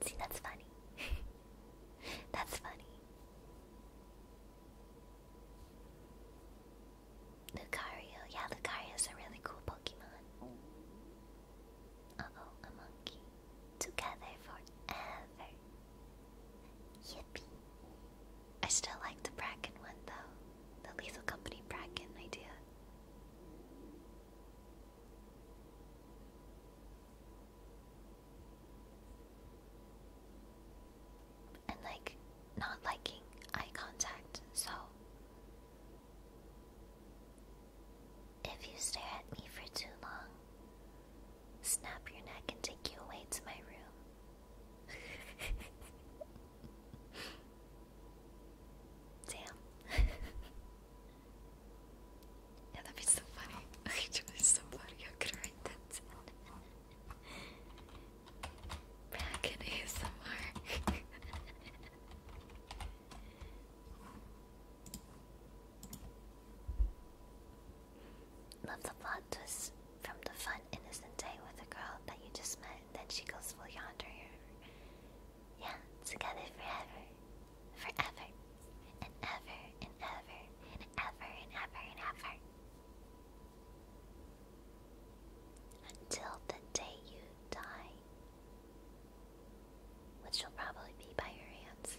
See, that's funny. that's funny. Lucario, yeah, Lucario's a really cool oh, a monkey. Together forever. Yippee. I still like the Bracken one though. The Lethal Company Bracken idea. And like, not liking eye contact, so if you stare at me for too long, snap your neck and take you away to my room. Damn. yeah, that'd so funny. That'd so funny. I could write that down. Back in ASMR. Love the plot twist from the fun innocent day with the girl that you just met, and then she goes full yonder. Yeah, together forever. Forever. And ever and ever and ever and ever and ever. Until the day you die which will probably be by your hands.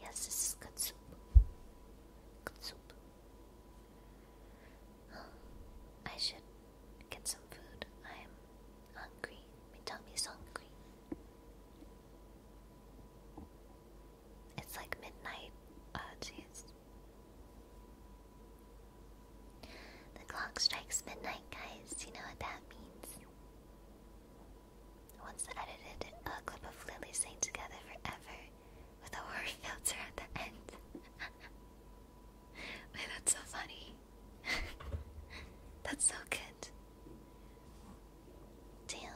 Yes, this is good soup. Good soup. I should get some food. I'm hungry. My tummy's hungry. It's like midnight. Oh, jeez. The clock strikes midnight, guys. You know what that means? once edited a clip of Lily saying Together Forever with a word filter at the end. that's so funny. that's so good. Damn.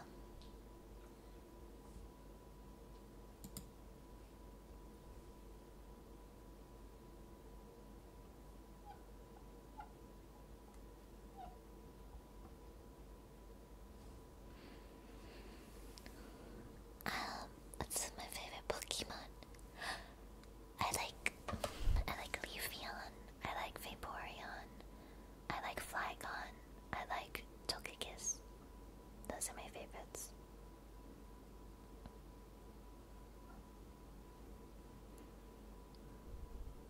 Um, this my favorite Pokemon. I like I like Leafeon, I like Vaporeon, I like Flygon, I like Togekiss. Those are my favorites.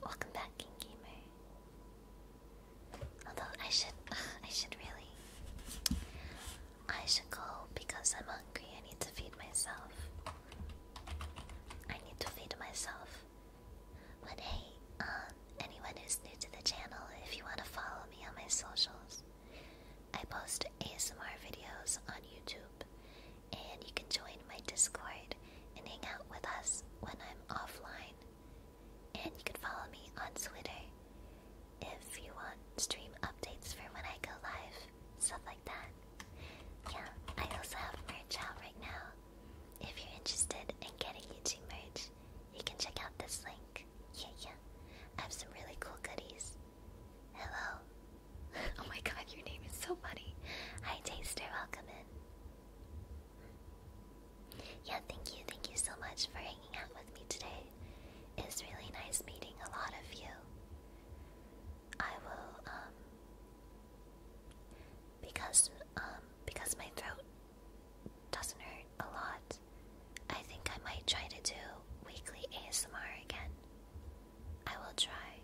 Welcome back, Gamer. Although I should, I should really, I should go because I'm hungry. I need to feed myself. I need to feed myself. But hey, um, anyone who's new to the channel, if you want to follow me on my socials, I post ASMR videos on YouTube and you can join my Discord and hang out with us when I'm offline. And you can follow me on Twitter if you want stream updates for when I go live, stuff like that. Yeah, I also have merch out right now. If you're interested in getting YouTube merch, you can check out this link. Yeah, yeah. I have some really cool goodies. Hello. oh my god, your name is so funny. Hi, Taster. Welcome in. Yeah, thank you, thank you so much for hanging out with me today. It's really nice meeting a lot of you. I will, um, because, um, because my throat doesn't hurt a lot, I think I might try to do weekly ASMR again. I will try.